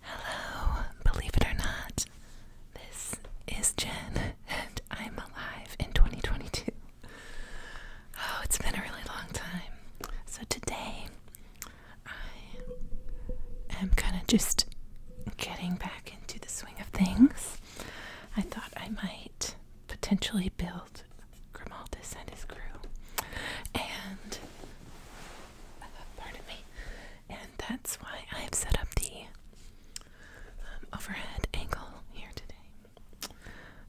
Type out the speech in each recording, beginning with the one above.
Hello, believe it or not, this is Jen, and I'm alive in 2022. Oh, it's been a really long time. So today, I am kind of just getting back into the swing of things. I thought I might potentially build Grimaldis and his crew and pardon me, and that's why I've set up the um, overhead angle here today.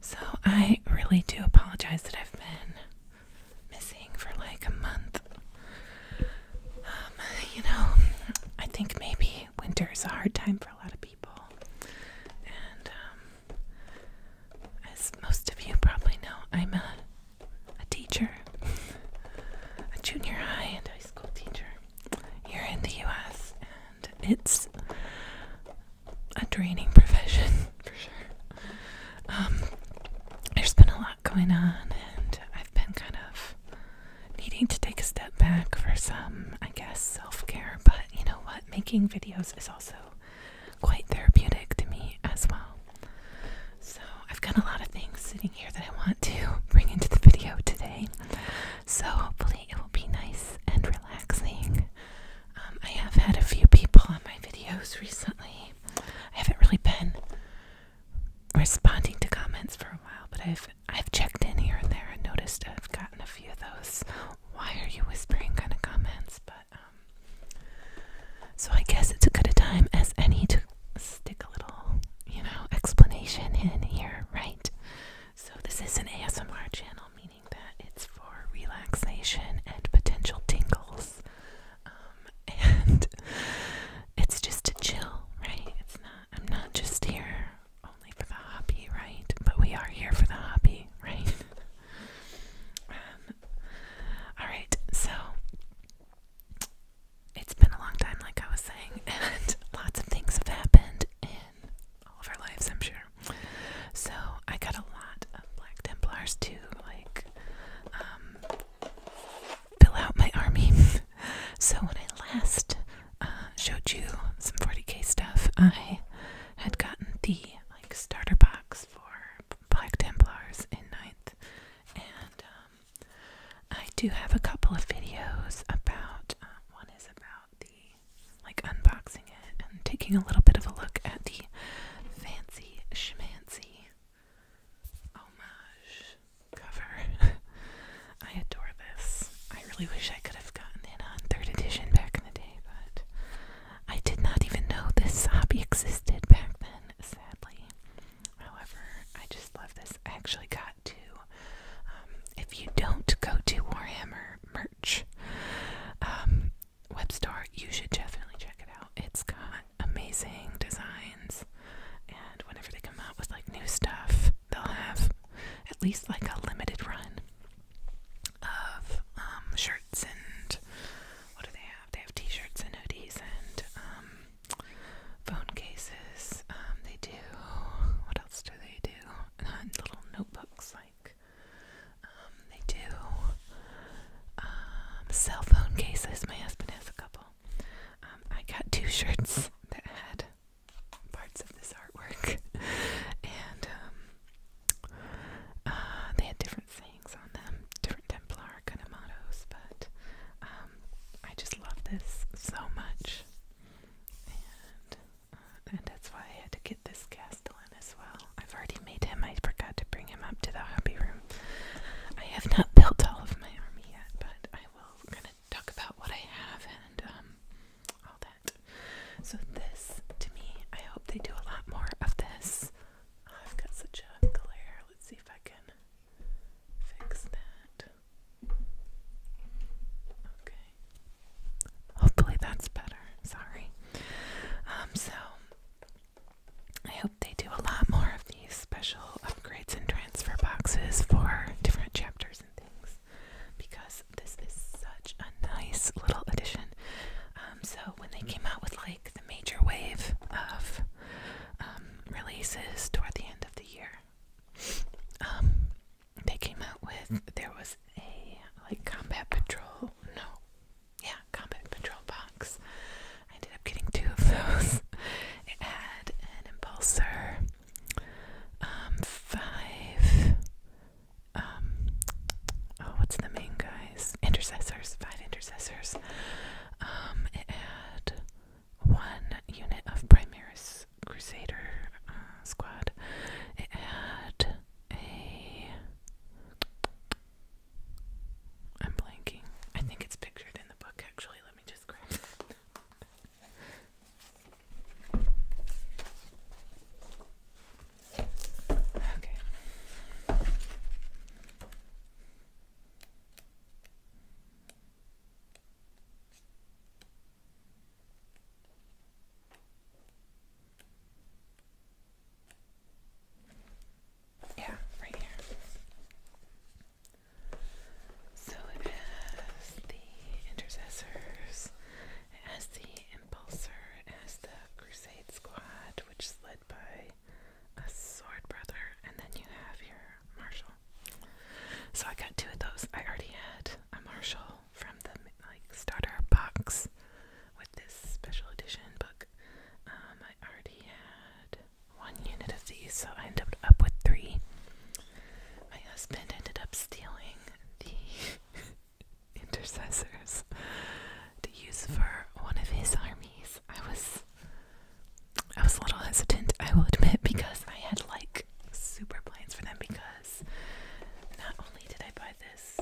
So I really do apologize that I've been missing for like a month. Um, you know, I think maybe winter is a hard time for a lot of people, and um, as most of you probably know, I'm a a teacher, a junior high and high school teacher here in the US, and it's a draining profession for sure. Um, there's been a lot going on, and I've been kind of needing to take a step back for some, I guess, self care, but you know what? Making videos is also quite therapeutic to me as well. So, I've got a lot of things sitting here that I want to bring into the video today. So, hopefully, it will be nice and relaxing. Um, I have had a few people on my videos recently. I haven't really been responding to comments for a while, but I've I've checked in here and there and noticed I've gotten a few of those. Why are you whispering? Kind of comments, but um, so I guess it's a good a time as any to stick a little, you know, explanation in here, right? So this is an ASMR channel, meaning that it's for relaxation and potential tingles, um, and it's just to chill, right? It's not. I'm not just here only for the hobby, right? But we are here for the hobby, right? Um, all right, so it's been a long time, like I was saying, and lots of things have happened in all of our lives, I'm sure. So I got a lot of Black Templars too, like um, fill out my army. so when I last uh, showed you some 40k stuff, I had gotten the like starter box for Black Templars in ninth and um, I do have a couple of videos about. Uh, one is about the like unboxing it and taking a little bit of a look at the fancy shmancy homage cover. I adore this. I really wish I could have gotten in on third edition back in the day, but I did not even know this hobby existed back then. Sadly, However, I just love this. I actually got two. Um, if you don't go to Warhammer merch um, web store, you should definitely check it out. It's got amazing designs, and whenever they come out with like new stuff, they'll have at least like a limited run of um, shirts and what do they have. They have t-shirts and hoodies and um, phone cases. Um, they do. What else do they do? And little notebooks, like um, they do. Um, cell phone cases. My husband has a couple. Um, I got two shirts that had parts of this artwork, and um, uh, they had different things different Templar kind of mottos, but um, I just love this so much. Uh, and, that's why I had to get this Castellan as well. I've already made him, I forgot to bring him up to the hobby room. I have not built all of my army yet, but I will kind of talk about what I have and um, all that. So, this to me, I hope they do a lot more of this. Oh, I've got such a glare. Let's see if I can fix that. Okay. Hopefully that's better. Sorry. Um, so I hope they do a lot more of these special upgrades and transfer boxes for different chapters and things because this is such a nice little addition. Um, so when they came out with like the major wave of um, releases toward the end of the year. Um, they came out with mm. there was a like combat patrol no yeah combat patrol box. I ended up getting two of those. it had an impulsor, um, five, oh what's the main guys? Intercessors, five intercessors, it um, had one unit of Primaris Crusader uh, squad. It had a. I'm blanking. I think it's pictured in the book actually. Let me just okay. Yeah, right here. So it has the intercessors, it the impulsor, it the crusade squad, which led by a sword brother, and then you have your marshal. So I got two of those. I already had a marshal from the like starter box with this special edition book. Um, I already had one unit of these, so I ended up with three. My husband ended up stealing the intercessors to use for one of his armies. I was I was a little hesitant, I will admit, because I had like super plans for them because not only did I buy this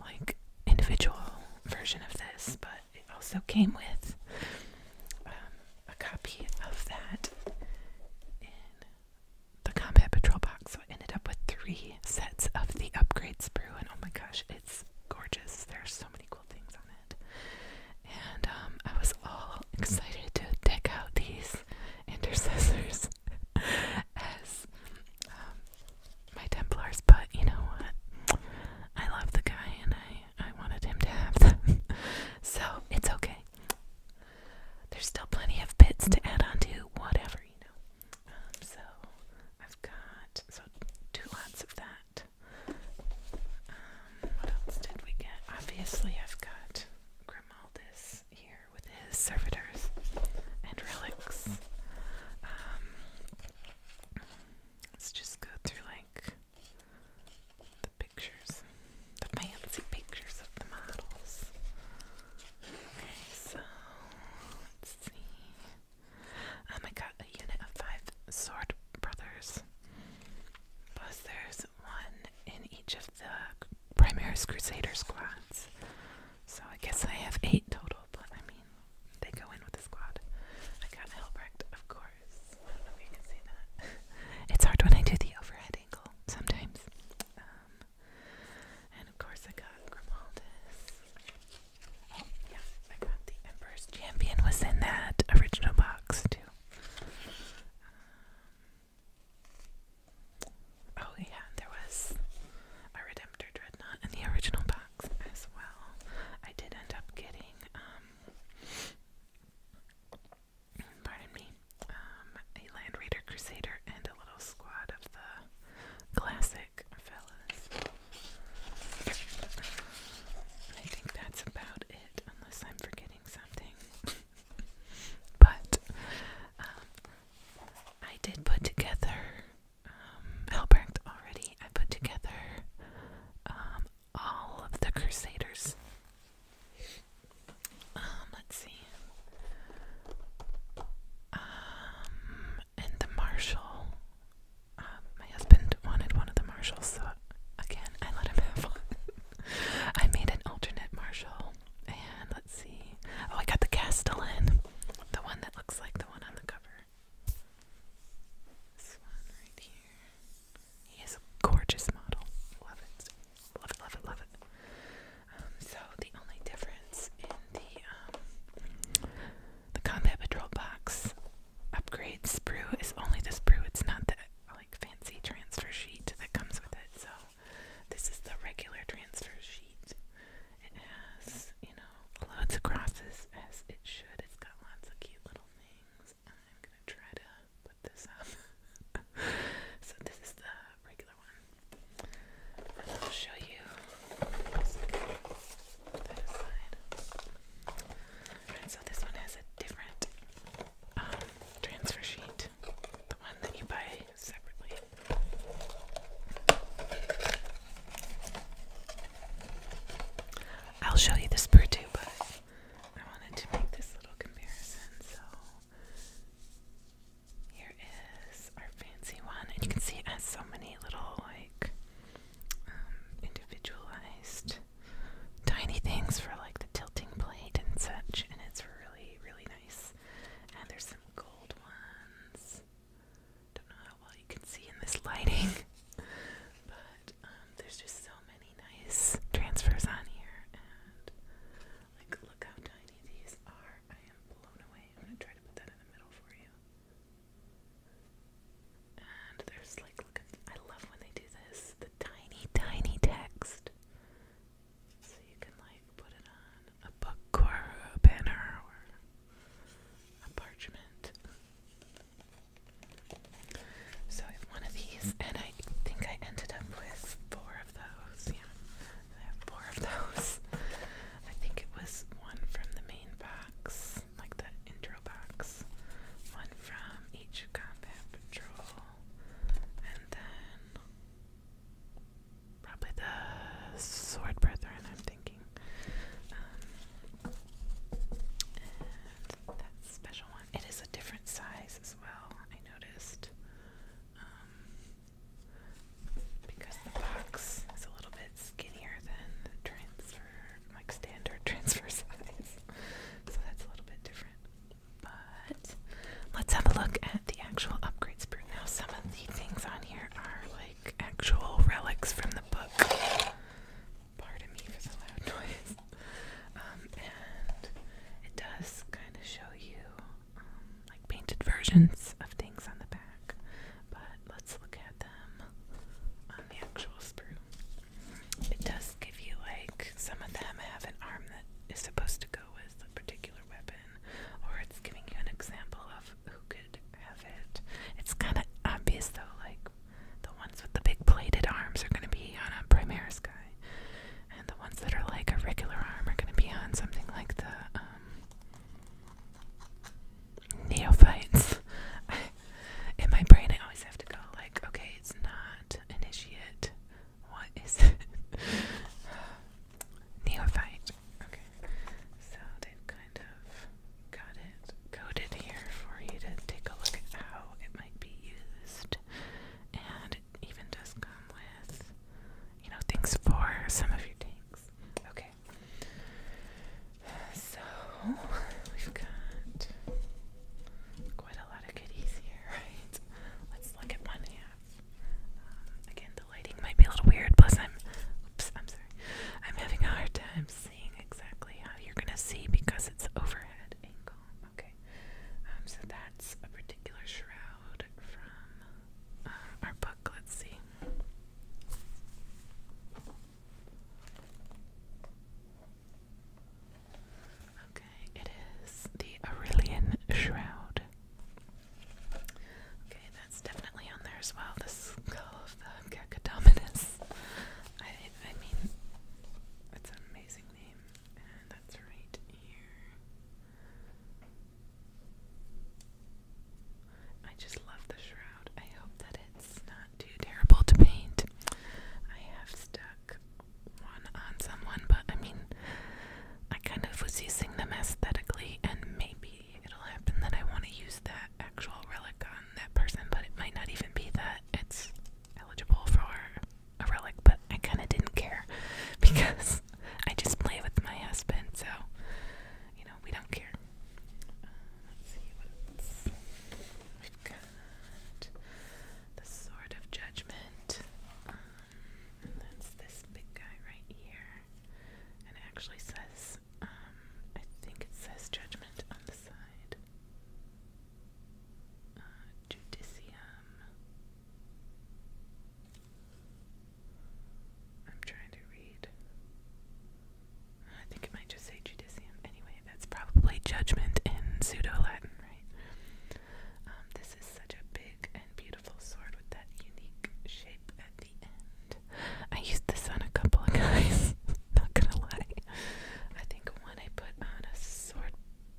like individual version of this, but it also came with um, a copy of that in the Combat Patrol box. So I ended up with three sets of the upgrade sprue, and oh my gosh, it's gorgeous. There are so many cool things on it. And um, I was all excited to deck out these intercessors as um, my Templars, but you know what? I love the guy and I, I wanted him to have them. so it's okay. There's still plenty of bits to add on to, whatever, you know. Um, so I've got so two lots of that. Um, what else did we get? Obviously, I've got Grimaldis here with his servitors and relics. Um, let's just go through like the pictures, the fancy pictures of the models. so let's see. Um, I got a unit of five sword brothers. Plus, there's one in each of the primary Crusader squads. So I guess I have eight total, but I mean, they go in with the squad. I got Helbrecht, of course. I don't know if you can see that. it's hard when I do the overhead angle sometimes. Um, and of course, I got Grimaldis. Oh, yeah, I got the Emperor's Champion was in that original box too. Um, oh yeah, there was a Redemptor Dreadnought in the original box as well. I did end up getting um, pardon me, um, a Land Raider Crusader and a little squad of the classic fellas. I think that's about unless I'm forgetting something. but um, I did put together, um, Albrecht already, I put together um, all of the Crusaders. Um, let's see. and the Marshal um, my husband wanted one of the Marshalls, so again, I let him have one. I made an alternate Marshall, and let's see. Oh, I got the Castellan, the one that looks like the one on the cover. This one right here. He is a gorgeous model. Love it. Love it, love it, love it. Um, so the only difference in the um, the combat patrol box upgrade sprue is only the sprue. It's not the like fancy transfer sheet that comes with it. So this is the regular transfer sheet. It has, you know, loads of crosses as it should. It's got lots of cute little things. I'm gonna try to put this up. so this is the regular one. And I'll show you. That aside so this one has a different um, transfer sheet. The one that you buy separately. I'll show you this Purdue, but I wanted to make this little comparison, so here is our fancy one, and you can see it has so many little like um, individualized tiny things for like the tilting plate and such, and it's really, really nice. And there's some gold ones. Don't know how well you can see in this lighting, but um, there's just so many nice transfers on here. And like, look how tiny these are. I am blown away. I'm gonna try to put that in the middle for you. And there's like, I love when they do this, the tiny, tiny text. So you can like put it on a book or a banner or a parchment. So I have one of these, and I think I ended up with four of those. Yeah, I have four of those. I think it was one from the main box, like the intro box. One from each combat patrol. And then probably the sword brethren I'm thinking. Um, and that special one. It is a different size as well, I noticed. Um, because the box is a little bit skinnier than the transfer like standard transfer size. so that's a little bit different. But let's have a look at the actual upgrades per now. Some of the things on here are like actual relics from the book. Pardon me for the loud noise. Um, and it does kind of show you um, like painted versions of things on the back. But let's look at them on the actual sprue it does give you like some of them have an arm that is supposed to go with a particular weapon, or it's giving you an example of who could have it. It's kind of obvious though, like the ones with the big plated arms are going to be on a Primaris guy. And the ones that are like a regular arm are going to be on something like the um, neophytes. In my brain, I always have to go like, okay, it's not Initiate? What is it? Okay. So they've kind of got it coded here for you to take a look at how it might be used. And it even does come with, you know, things for some of your tanks. Okay. So we've got quite a lot of goodies here, Let's look at one half. Um, again, the lighting might be a little weird. Plus, I'm, oops, I'm sorry. I'm having a hard time seeing exactly how you're gonna see because it's overhead angle. Okay, um, so that's a particular shroud from uh, our book. Let's see. Okay, it is the Aurelian Shroud. Okay, that's definitely on there as well. The skull of the Cacodominus. I, mean, it's an amazing name. And that's right here. I just love the shroud. I hope that it's not too terrible to paint. I have stuck one on someone, but I mean, I kind of was using them aesthetically, and maybe it'll happen that I want to use that actual relic on that person, but it might not even be that it's eligible for a relic, but I kind of didn't care because I just play with my husband, so you know, we don't care. Uh, let's see what else we've got the Sword of Judgment. Um, and that's this big guy right here. And it actually says, um, I think it says Judgment on the side. Uh, I'm trying to read. I think it might just say Judicium. Anyway, that's probably judgment in Pseudo Latin, right? Um, this is such a big and beautiful sword with that unique shape at the end. I used this on a couple of guys, not gonna lie. I think when I put on a sword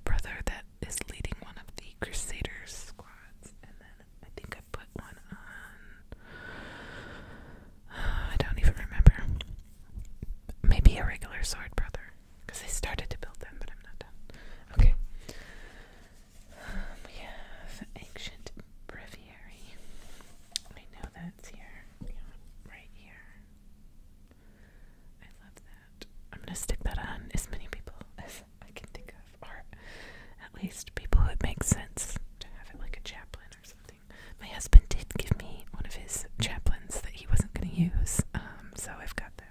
brother that is leading one of the Crusaders squads, and then I think I put one on. I don't even remember. Maybe a regular sword brother. Because I started to build them, but I'm not done. Okay. Um, we have ancient breviary. I know that's here. right here. I love that. I'm going to stick that on as many people as I can think of, or at least people who it makes sense to have it like a chaplain or something. My husband did give me one of his chaplains that he wasn't going to use. Um, um, so I've got that.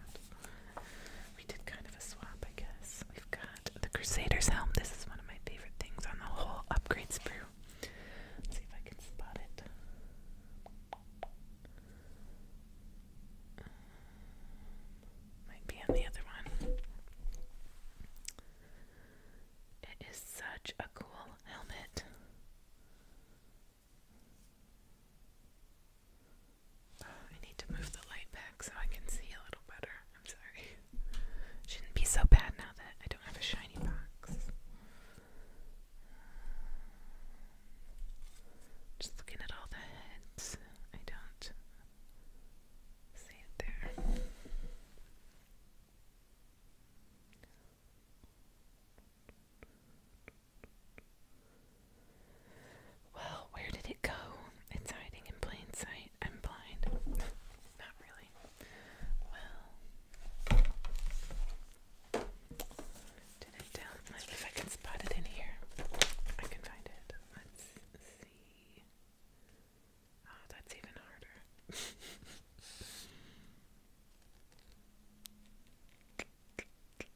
We did kind of a swap, I guess. We've got the Crusader's Helm. This is one of my favorite things on the whole upgrade sprue. see if I can spot it. Um, might be on the other one. It is such a cool helmet. I need to move the light back so I can see a little better. I'm sorry. Shouldn't be so bad now that I don't have a shiny box. Just looking at all the heads, I don't see it there. Well, where did it go? It's hiding in plain sight. I'm blind. Not really. Well, down? if I can spot it in here, I can find it. Let's see. Oh, that's even harder.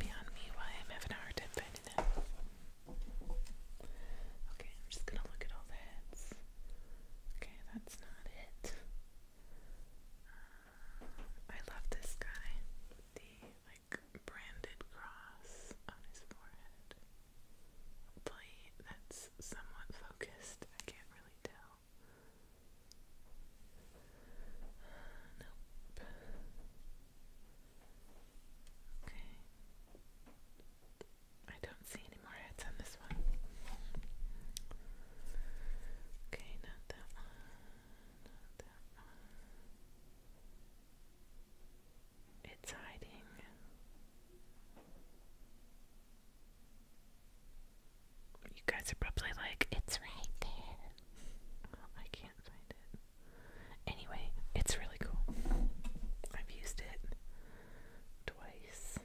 beyond me why I'm having a hard time finding it. Okay, I'm just gonna look at all the heads. Okay, that's not it. Uh, I love this guy the like branded cross on his forehead. Plate that's somewhat focused. I can't really tell. Uh, nope. Okay. I don't see any more heads on this one. Okay, not that one. Not that one. It's hiding. You guys are probably like, it's right there. Oh, I can't find it. Anyway, it's really cool. I've used it twice.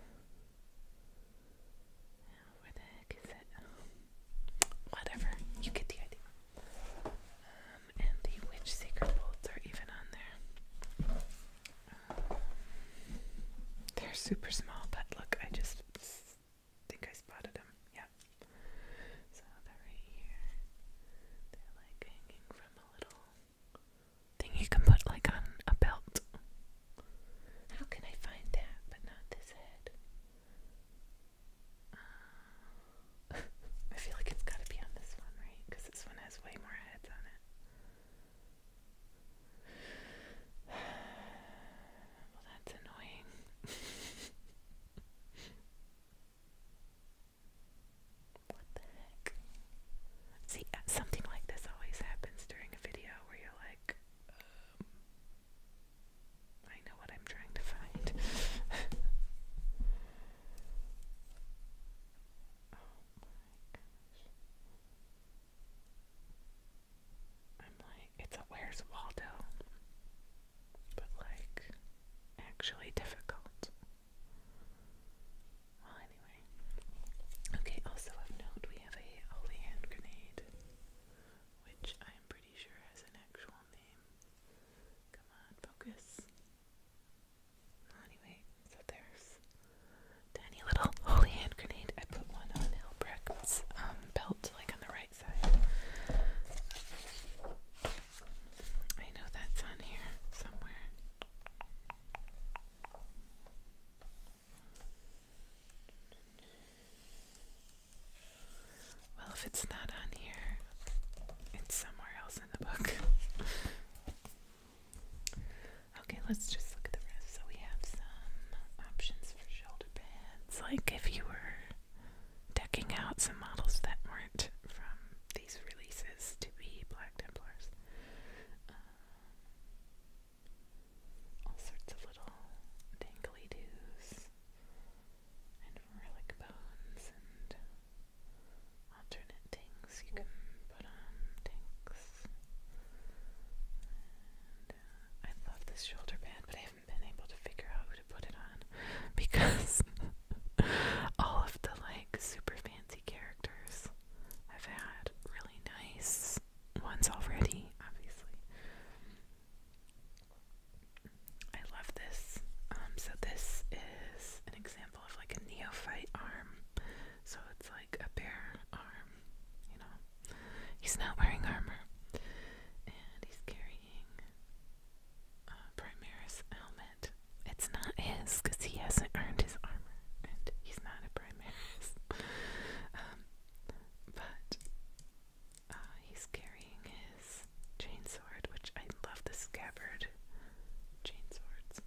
where the heck is it? Whatever, you get the idea. Um, and the witch secret bolts are even on there. Um, they're super small, but look, I just think I spotted them. Yeah. So they're right here. They're like hanging from a little thing you can put like on a belt. How can I find that but not this head? Uh, I feel like it's gotta be on this one, right? Because this one has way more heads on it. Well, that's annoying. What the heck? See, uh, something like this always happens during a video where you're like, um, I know what I'm trying to find. Oh I'm like, it's a Where's Waldo? but like actually difficult. Well, anyway. Okay, also of note, we have a holy hand grenade, which I am pretty sure has an actual name. Come on, focus. anyway, so there's tiny little holy hand grenade. I put one on Hilbrecht's um, belt, like on the right side. I know that's on here somewhere. Well, if it's not on here, it's somewhere else in the book. okay, let's just look at the rest. So we have some options for shoulder pads. Like if you were decking out some models that weren't from these releases to be Black Templars. Uh, all sorts of little dangly doos and relic bones and alternate things you can put on tanks. Uh, I love this shoulder pad, but I haven't been able to figure out put it on because all of the like super fancy characters I've had really nice ones already, obviously. I love this. Um, so this is an example of like a neophyte arm. So it's like a bare arm, you know. He's not wearing armor. And he's carrying uh, Primaris helmet. It's not his because he hasn't earned his armor and he's not a Primaris. Um, but uh, he's carrying his chainsword, which I love the scabbard chainswords.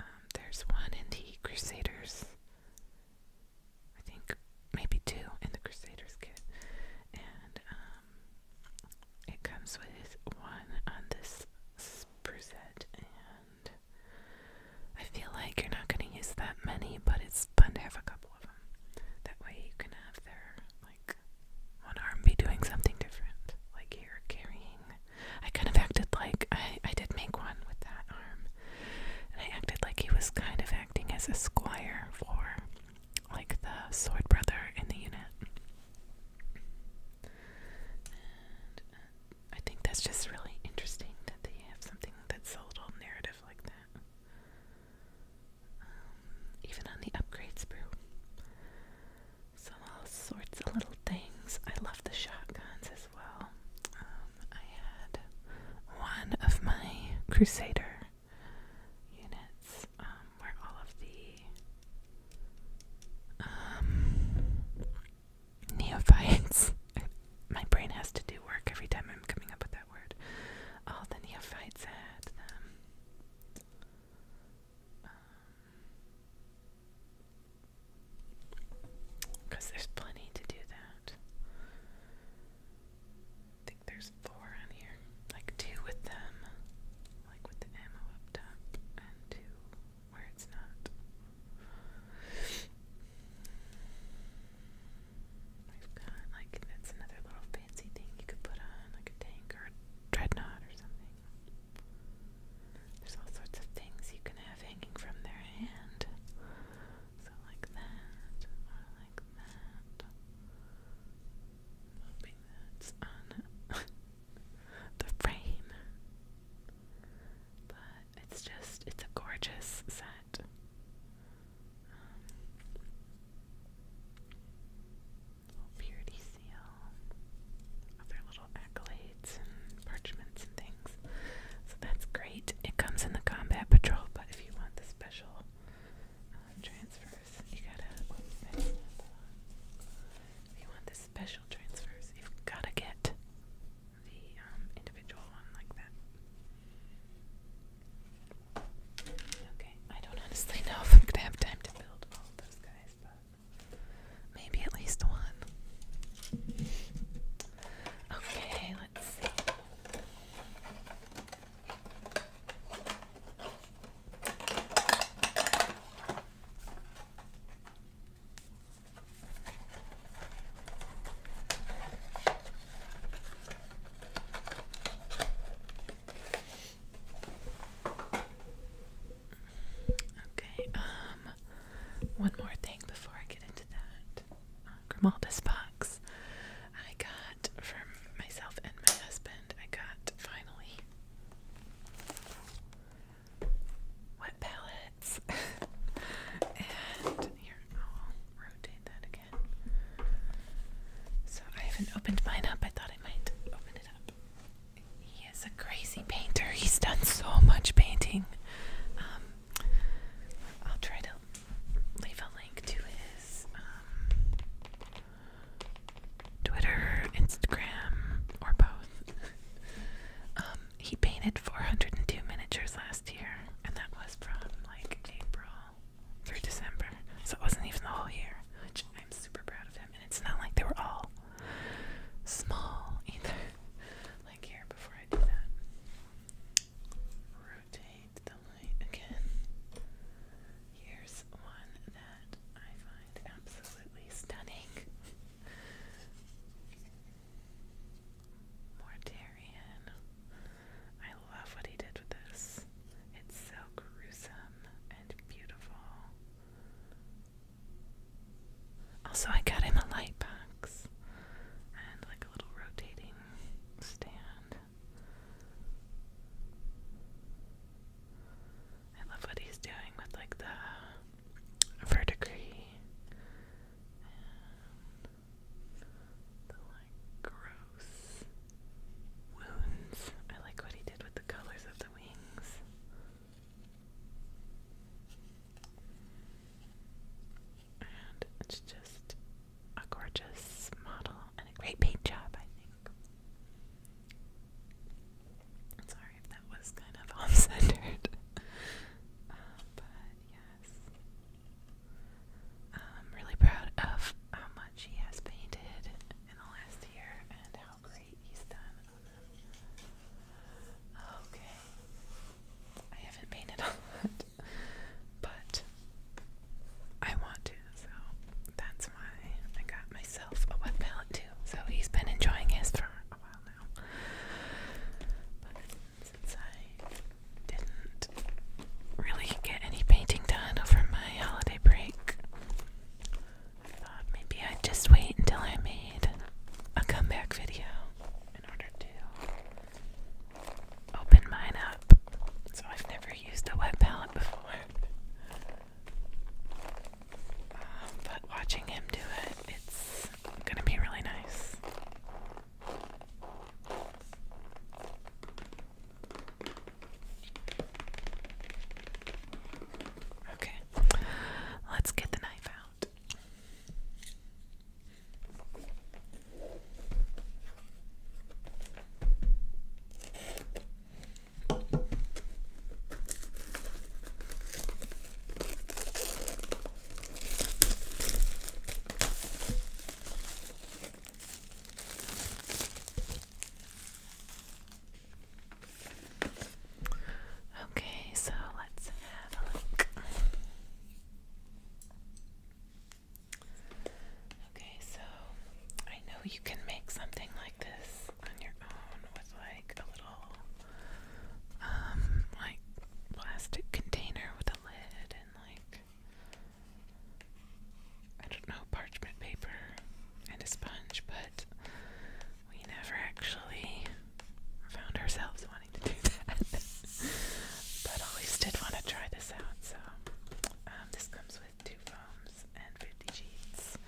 Um, there's one in the Crusaders. I think maybe two in the Crusaders kit. And um, um, it comes with one on this sprucette, and I feel like you're not going to use that many, but it's fun to have a couple of them. That way you can have their, like, one arm be doing something different. Like you carrying. I kind of acted like I, I did make one with that arm, and I acted like he was kind of acting as a squire for, like, the sword brother in the unit. Uh, I think that's just really interesting that they have something that's a little narrative like that. Um, even on the upgrades brew. So all sorts of little things. I love the shotguns as well. Um, I had one of my Crusader units um, where all of the um, neophytes. My brain has to do work every time I'm coming up with that word. All the neophytes had them. Because um, there's plenty to do that. I think there's four on here, like two with them like with the ammo up top, and to where it's not. We've got like that's another little fancy thing you could put on, like a tank or a dreadnought or something. There's all sorts of things you can have hanging from their hand. So like that, or like that. hoping that's on the frame. But it's just, it's a gorgeous set. Um, little purity seal, other little accolades and parchments and things. So that's great. It comes in the combat patrol, but if you want the special uh, transfers, you gotta you want the special transfers, you've got to get the um, individual one like that. Okay, I don't honestly know if I'm going to have time to build all those guys, but maybe at least one. Okay, let's see. Okay, um, one more thing before I get into that. Uh, um, Grimalda's box. I got from myself and my husband, I got finally wet palettes. here, I'll rotate that again. So I haven't opened mine up. I thought I might open it up. He is a crazy painter. He's done so much painting. Um, I'll try to leave a link to his um, Twitter, Instagram, or both. Um, he painted 402 miniatures last year, and that was from like April through December. So it wasn't even the whole year, which I'm super proud of him. And it's not like they were all small either. like here, before I do that, rotate the light again. Here's one I find absolutely stunning. Mortarian. I love what he did with this. It's so gruesome and beautiful. Also, I got him a light box and like a little rotating stand. I love what he's doing with like the verdigris and the like gross wounds. I like what he did with the colors of the wings. And it's just a gorgeous model and a great paint job, I think. Sorry if that was kind of off centered. uh, but yes. I'm really proud of how much he has painted in the last year and how great he's done. Okay. I haven't painted a lot, but I want to, so that's why I got myself a wet palette so he's been enjoying his for a while now. But since I didn't really get any painting done over my holiday break, thought maybe I'd just wait until I made a comeback video in order to open mine up. So I've never used a wet palette before but watching him do it, it's gonna be really nice. Okay, let's get the knife out. Okay, so let's have a look. Okay, so I know you can make something this on your own with like a little um like plastic container with a lid and like I don't know parchment paper and a sponge, but we never actually found ourselves wanting to do that. but always did want to try this out, so um, this comes with two foams and 50 sheets.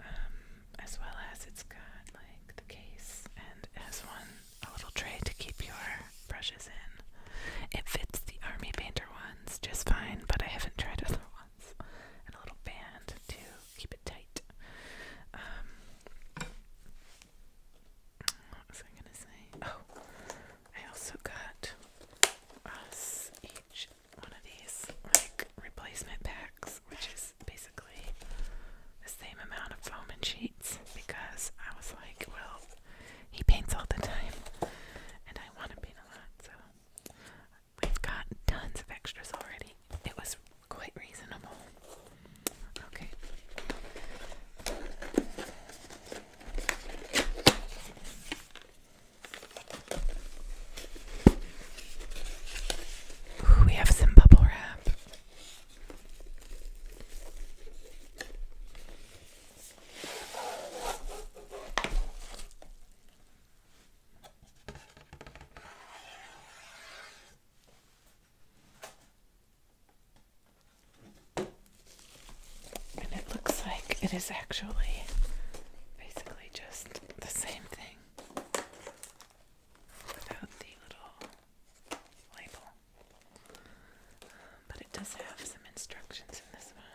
Um, as well as it's got like the case and it one a little tray to keep your brushes in. It fits the army painter ones just fine, but I haven't tried other ones. And a little band to keep it tight. Um, what was I gonna say? Oh, I also got us each one of these like replacement packs, which is basically basically the same amount of foam and sheets because I was like, well, he paints all the time and I want to paint a lot, so we've got tons of extras already. It was quite reasonable. Okay we have some bubble wrap. And it looks like it is actually basically just the same thing without the little label. but it does have some instructions in this one.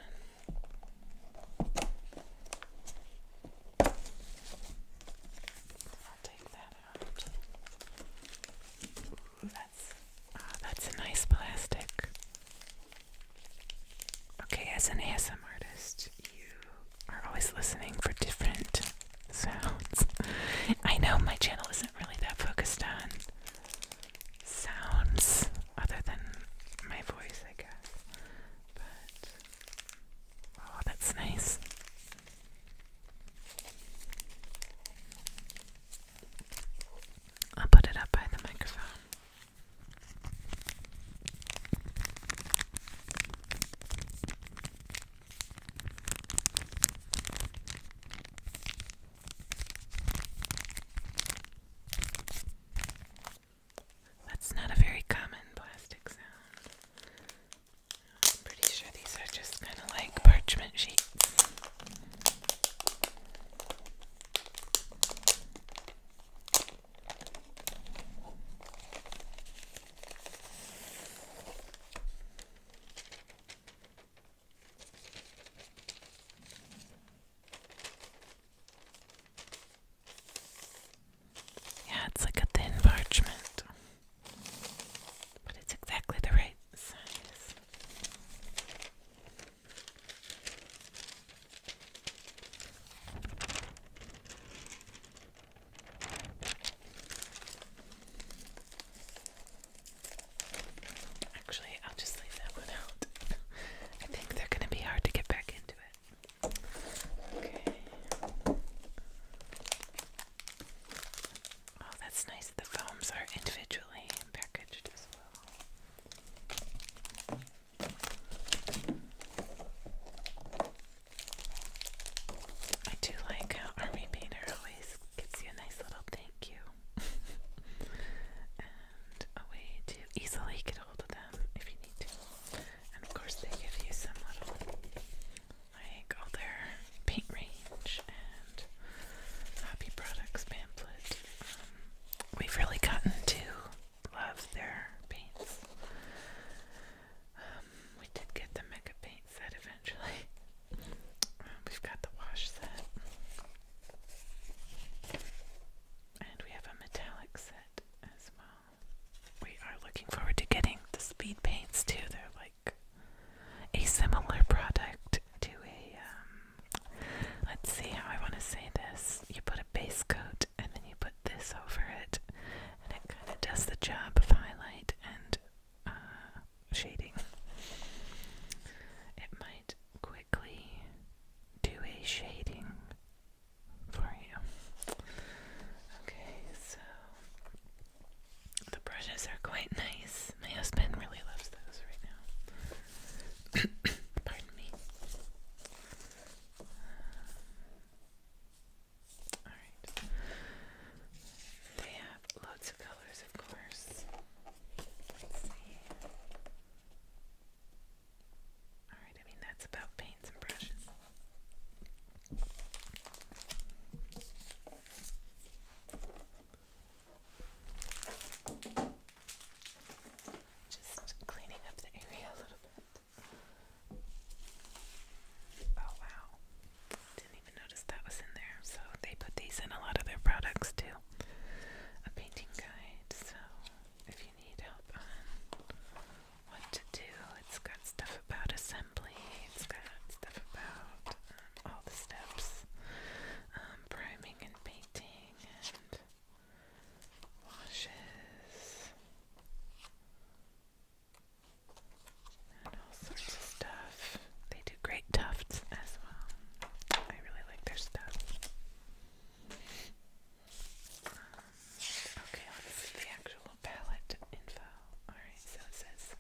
I'll take that out. that's uh, that's a nice plastic. Okay, as an ASM artist, you are always listening for different sounds. I know my channel isn't really that focused on sounds other than my voice, I guess. But, oh, that's nice. I'll put it up by the microphone. That's not a very common plastic sound. I'm pretty sure these are just kind of like parchment sheets. Yeah, it's like a thin parchment, but it's exactly the right size. Actually, I'll just leave that one out. I think they're going to be hard to get back into it. Okay. Oh, that's nice. The foams are individually packaged as well. I do like Army Painter always gives you a nice little thank you and a way to easily get hold of them if you need to. And of course, they give you some little like all their paint range and hobby products pamphlet. Um, we've really gotten to love their paints. Um, we did get the mega paint set eventually. Um, we've got the wash set. And we have a metallic set as well. We are looking forward to getting the speed paints too. They're like a similar product to a, um, let's see how I want to say this. You put a base coat and then you put this over it, and it kind of does the job of highlight and uh, shading. It might quickly do a shading for you. Okay, so the brushes are quite nice. My husband really loves those right now. Pardon me. Alright. They have loads of colors, of course. Alright, I mean, that's about paints and brushes. Just cleaning up the area a little bit. Oh wow. Didn't even notice that was in there. So they put these in a lot of their products too. A painting guide. So if you need help on what to do, it's got stuff about assembly, it's got stuff about um, all the steps, um, priming and painting and washes and all sorts of stuff. They do great tufts as well. I really like their stuff. okay, let's the actual palette info. Alright, so it says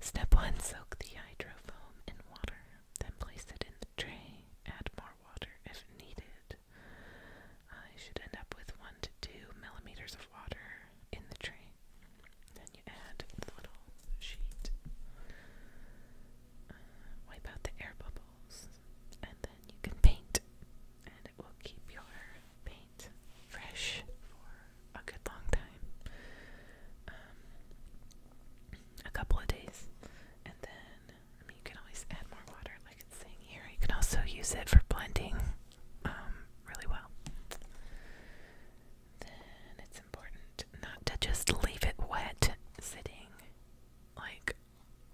Step 1 Soak the hydrofoam in water, then place it in the tray. Add more water if needed. I should end up with 1 to 2 millimeters of water in the tray. Then you add the little sheet, uh, wipe out the air bubbles, and then you can paint, and it will keep your paint fresh for a good long time. Um, a couple of days, and then you can always add more water, like it's saying here. You can also use it for blending um, really well. Then it's important not to just leave it wet sitting like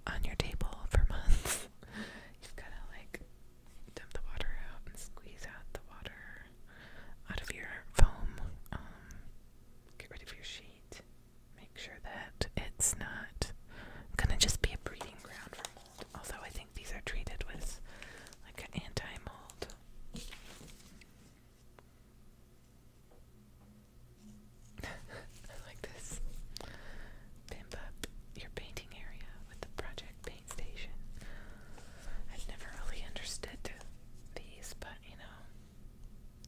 on your table for months. You've got to like dump the water out and squeeze out the water out of your foam. Um, get rid of your sheet. Make sure that it's not gonna just be a breeding ground for mold. Although I think these are treated with like an anti-mold. I like this. Pimp up your painting area with the Project Paint Station. I've never really understood these, but you know,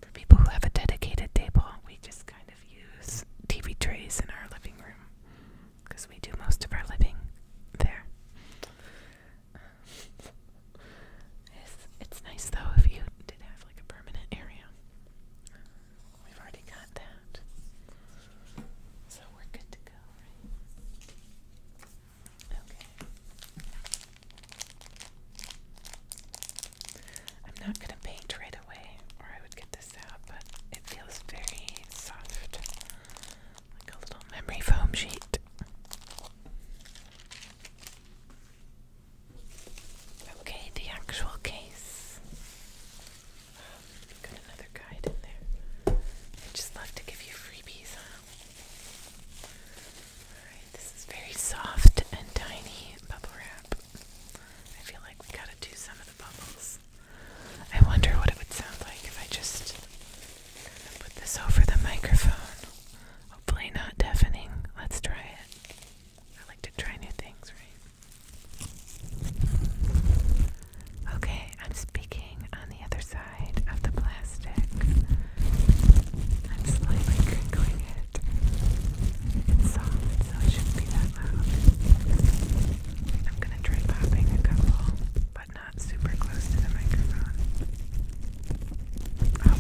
for people who have a dedicated table, we just kind of use TV trays in our living room because we do most of our living there. It's, it's nice though if you did have like a permanent area. We've already got that. So we're good to go, Okay. I'm not going to paint right away or I would get this out, but it feels very soft a little memory foam sheet. Okay, the actual case. got another guide in there. I just love to give you freebies, Alright, this is very soft and tiny bubble wrap. I feel like we gotta do some of the bubbles. I wonder what it would sound like if I just put this over the microphone. Hopefully, not deafening. Let's try it. I like to try new things, right? Okay, I'm speaking on the other side of the plastic. I'm slightly crinkling it. It's soft, so it shouldn't be that loud. I'm gonna try popping a couple but not super close to the microphone. Oh,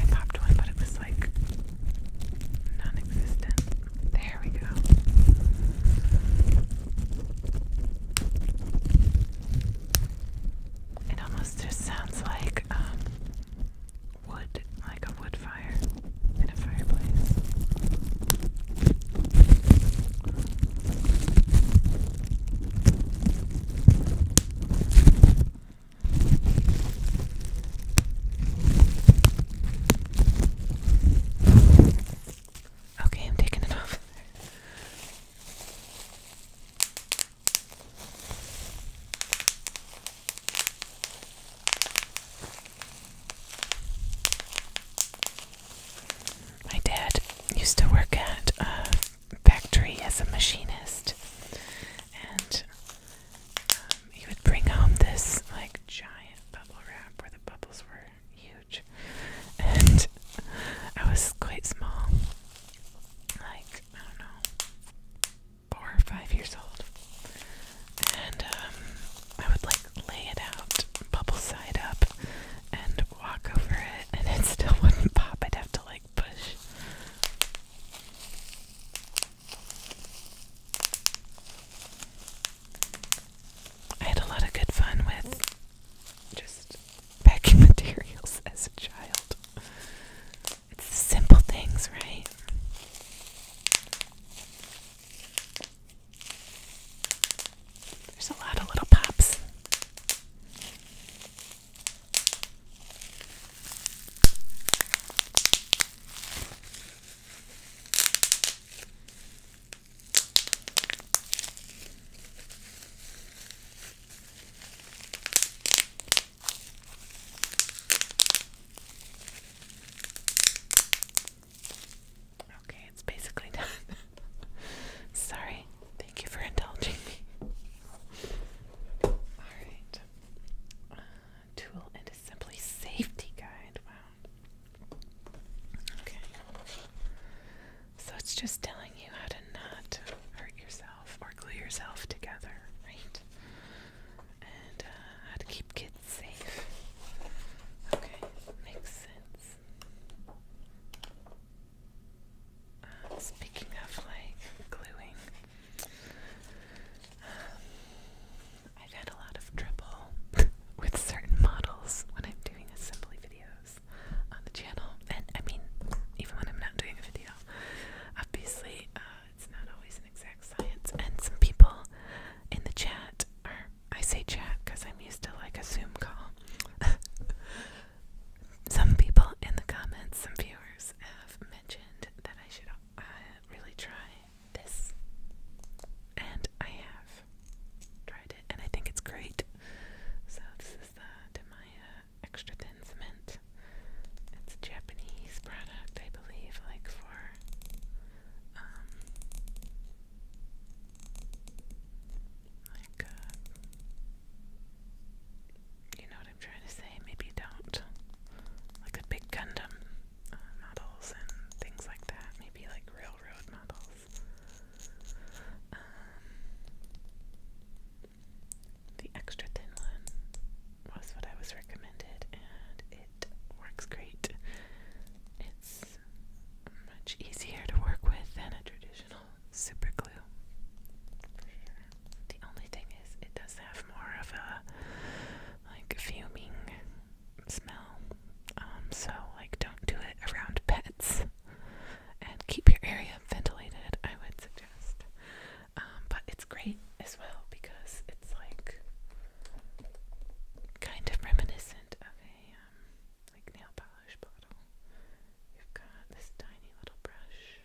I popped one, but it was like non There we go. It almost just sounds like um, wood, like a wood fire in a fireplace. Okay, I'm taking it off. My dad used to work at a factory as a machinist, and um, he would bring home this like giant bubble wrap where the bubbles were huge, and I was quite small, like I don't know, four or five years old, and um, I would like lay it out bubble side up and walk over it and it still wouldn't pop. I'd have to like push. I had a lot of good fun with just packing materials as a child. It's the simple things, right? There's a lot of little pops. Okay, it's basically done. Sorry. Thank you for indulging me. Alright. Uh, tool and assembly safety guide. Wow. Okay. So it's just telling you how to not hurt yourself or glue yourself together, right? And uh, how to keep kids safe. Okay, makes sense speaking of like gluing, um, I've had a lot of trouble with certain models when I'm doing assembly videos on the channel, and I mean, even when I'm not doing a video, obviously, uh, it's not always an exact science. And some people in the chat, are I say chat because I'm used to like a Zoom call. some people in the comments, some viewers have mentioned that I should uh, really try this, and I have tried it, and I think it's great. So this is the Demaya Extra Thin Cement. It's a Japanese product, I believe, like for um, like uh, you know what I'm trying to say? Maybe don't. Like a big Gundam uh, models and things like that. Maybe like railroad models. Um, the extra thin one was what I was recommended, and it works great. It's much easier to work with than a traditional super glue. The only thing is, it does have more of a like fuming smell. Um, so like, don't do it around pets, and keep your area ventilated. I would suggest. Um, but it's great as well because it's like kind of reminiscent of a um, like nail polish bottle. You've got this tiny little brush.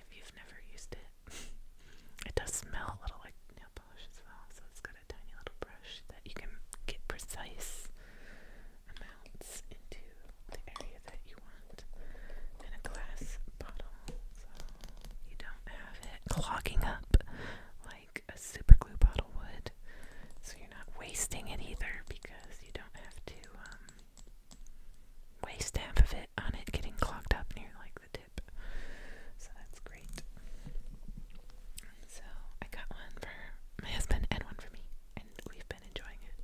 If you've never used it, it does smell a little like nail polish So it's got a tiny little brush that you can get precise amounts into the area that you want, In a glass bottle so you don't have it clogging up like a super glue bottle would. So you're not wasting it either because you don't have to um, waste half of it on it getting clogged up near like the tip. So that's great. So I got one for my husband and one for me, and we've been enjoying it.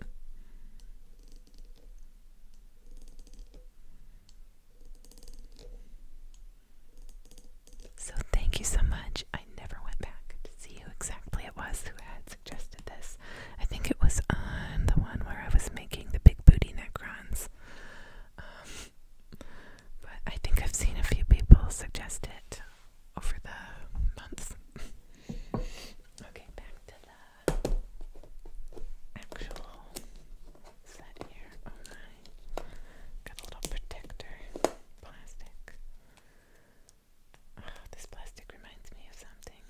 So, thank you so much. I never went back to see who exactly it was who had suggested this. I think it was on the one where I was making the big booty necrons. Um, but I think I've seen a few people suggest it over the months. okay, back to the actual set here. Got a little protector. Plastic. this plastic reminds me of something.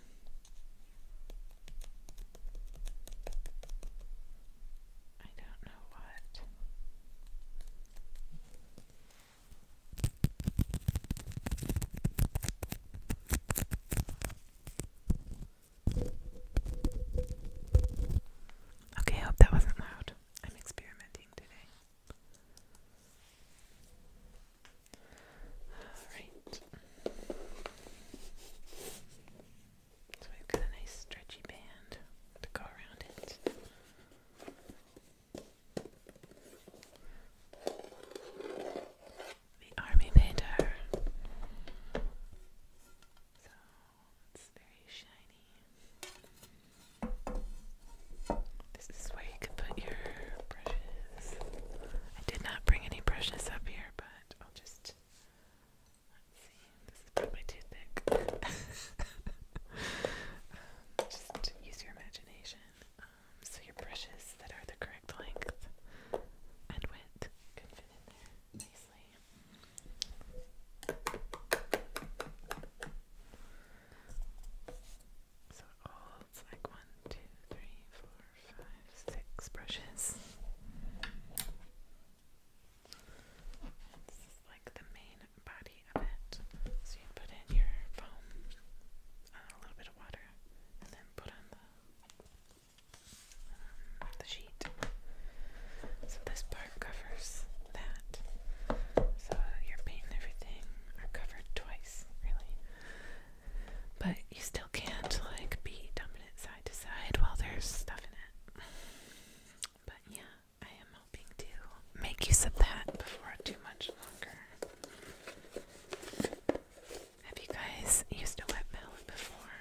I don't know what. Okay, hope that wasn't loud. I'm experimenting today. So we've got a nice stretchy band to go around it. The army painter. So it's very shiny. This is where you can put your brushes. I did not bring any brushes up here, but I'll just. Let's see. This is probably too thick. Um, just use your imagination. Um, so your brushes that are the correct length and width can fit in there nicely. So all it's like one, two, three, four, five, six brushes. This is like the main body of it. So you put in your foam, uh, a little bit of water, and then put on the um, the sheet. So this part covers that. So your paint and everything are covered twice, really but you still can't like be dumping it side to side while there's stuff in it. But yeah, I am hoping to make use of that before too much longer. Have you guys used a wet palette before?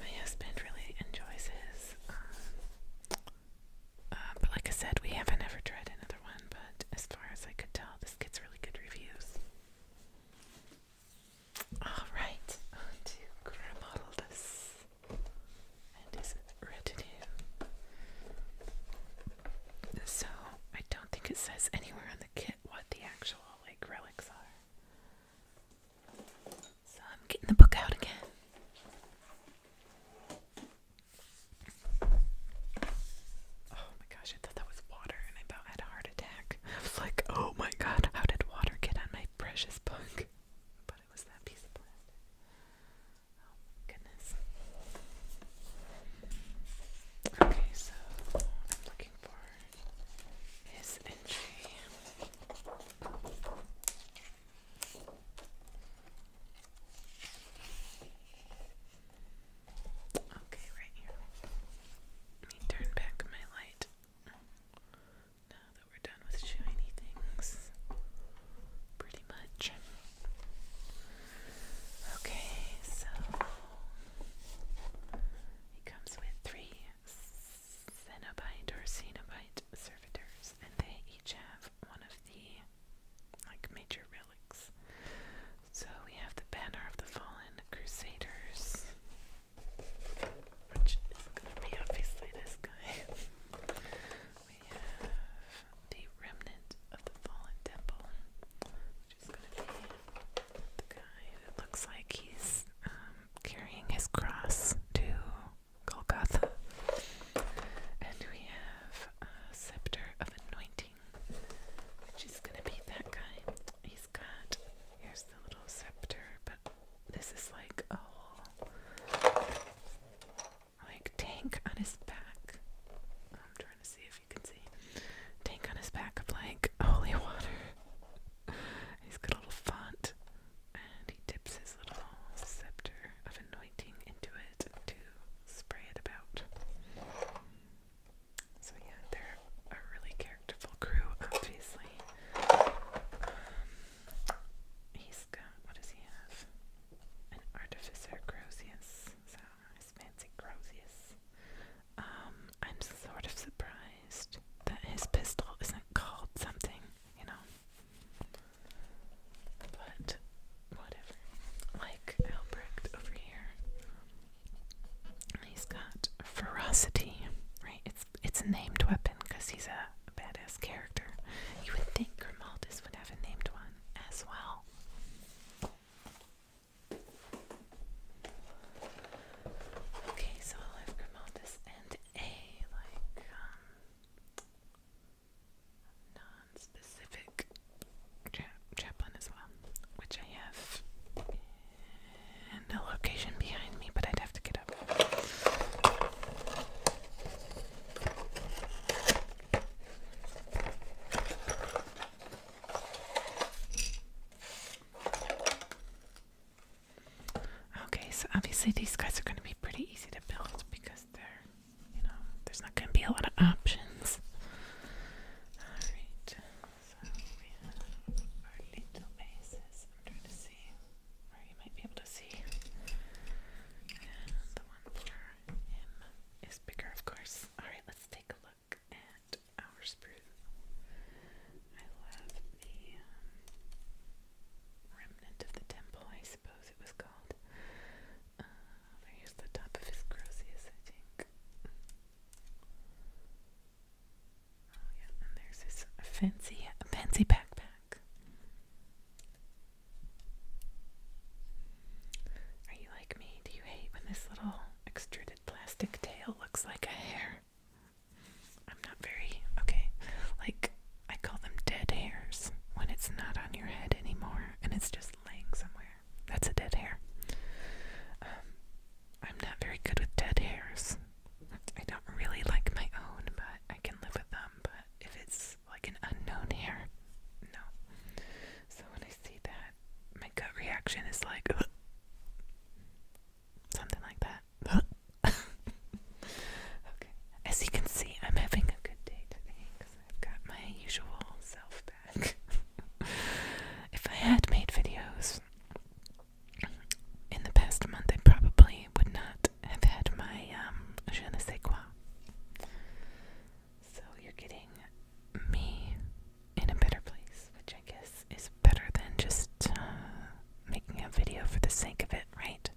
My husband really enjoys his. Um, uh, but like I said, we haven't ever tried another one. But as far as I could tell, this gets really good reviews. Alright, on to Grimaldus and his retinue. So, I don't think it says anywhere on the kit what the actual, like, relics are. So I'm getting the book out again. Oh my gosh, I thought that was water and I about had a heart attack. like, oh my god, how did water get on my precious book? But it was that piece of plastic. Oh goodness. Okay, so I'm looking for his entry. Okay, right here. Let me turn back my light. Now that we're done with shiny things, pretty much. Okay, so he comes with three Cenobite or Cenobite servitors, and they each have one of the like major relics. So we have the Banner of the Fallen Crusaders, which is going to be obviously this guy. we have the Remnant of the Fallen Temple, which is going to be the guy that looks like he's um, carrying his cross to Golgotha. And we have a Scepter of Anointing thing, gonna be that guy. He's got here's the little scepter, but this is like a whole like tank on his back. I'm trying to see if you can see tank on his back of like holy water. He's got a little font, and he dips his little scepter of anointing into it to spray it about. So yeah, they're a really characterful crew, obviously. Um, he's got, what does he have? An Artificer Grosius, so his fancy Grosius. Um, I'm sort of surprised that his pistol isn't called something, you know. But whatever. Like Albrecht over here. He's got ferocity, right? It's it's a named weapon because he's a badass character. You would think Grimaldis would have a named one as well. Okay, so i have Grimaldis and a like um specific chaplain as well, which I have in the location behind me, but I'd have to get up. Okay, so obviously these guys are going to be pretty easy to build because they you know, there's not going to be a lot of options. Alright, so we have our little bases. I'm trying to see where you might be able to see. the one for is bigger, of course. Alright, let's take a look at our spruce. I love the um, remnant of the temple, I suppose it was called. there's uh, the top of his grossiest, I think. Oh yeah, and there's this fancy fancy backpack. Are you like me? Do you hate when this little extruded plastic tail looks like a hair? I'm not very okay. Like I call them dead hairs when it's not on your head anymore and it's just laying somewhere. That's a dead hair. Um, I'm not very good with dead hairs. I don't really like my own, but I can live with them. But if it's like an unknown hair, no. So when I see that, my gut reaction is like something like that. okay. As you can see, I'm having a good day today I've got my usual self if I had made videos in the past month, I probably would not have had my um, je So you're getting me in a better place, which I guess is better than just uh, making a video for the sake of it, right?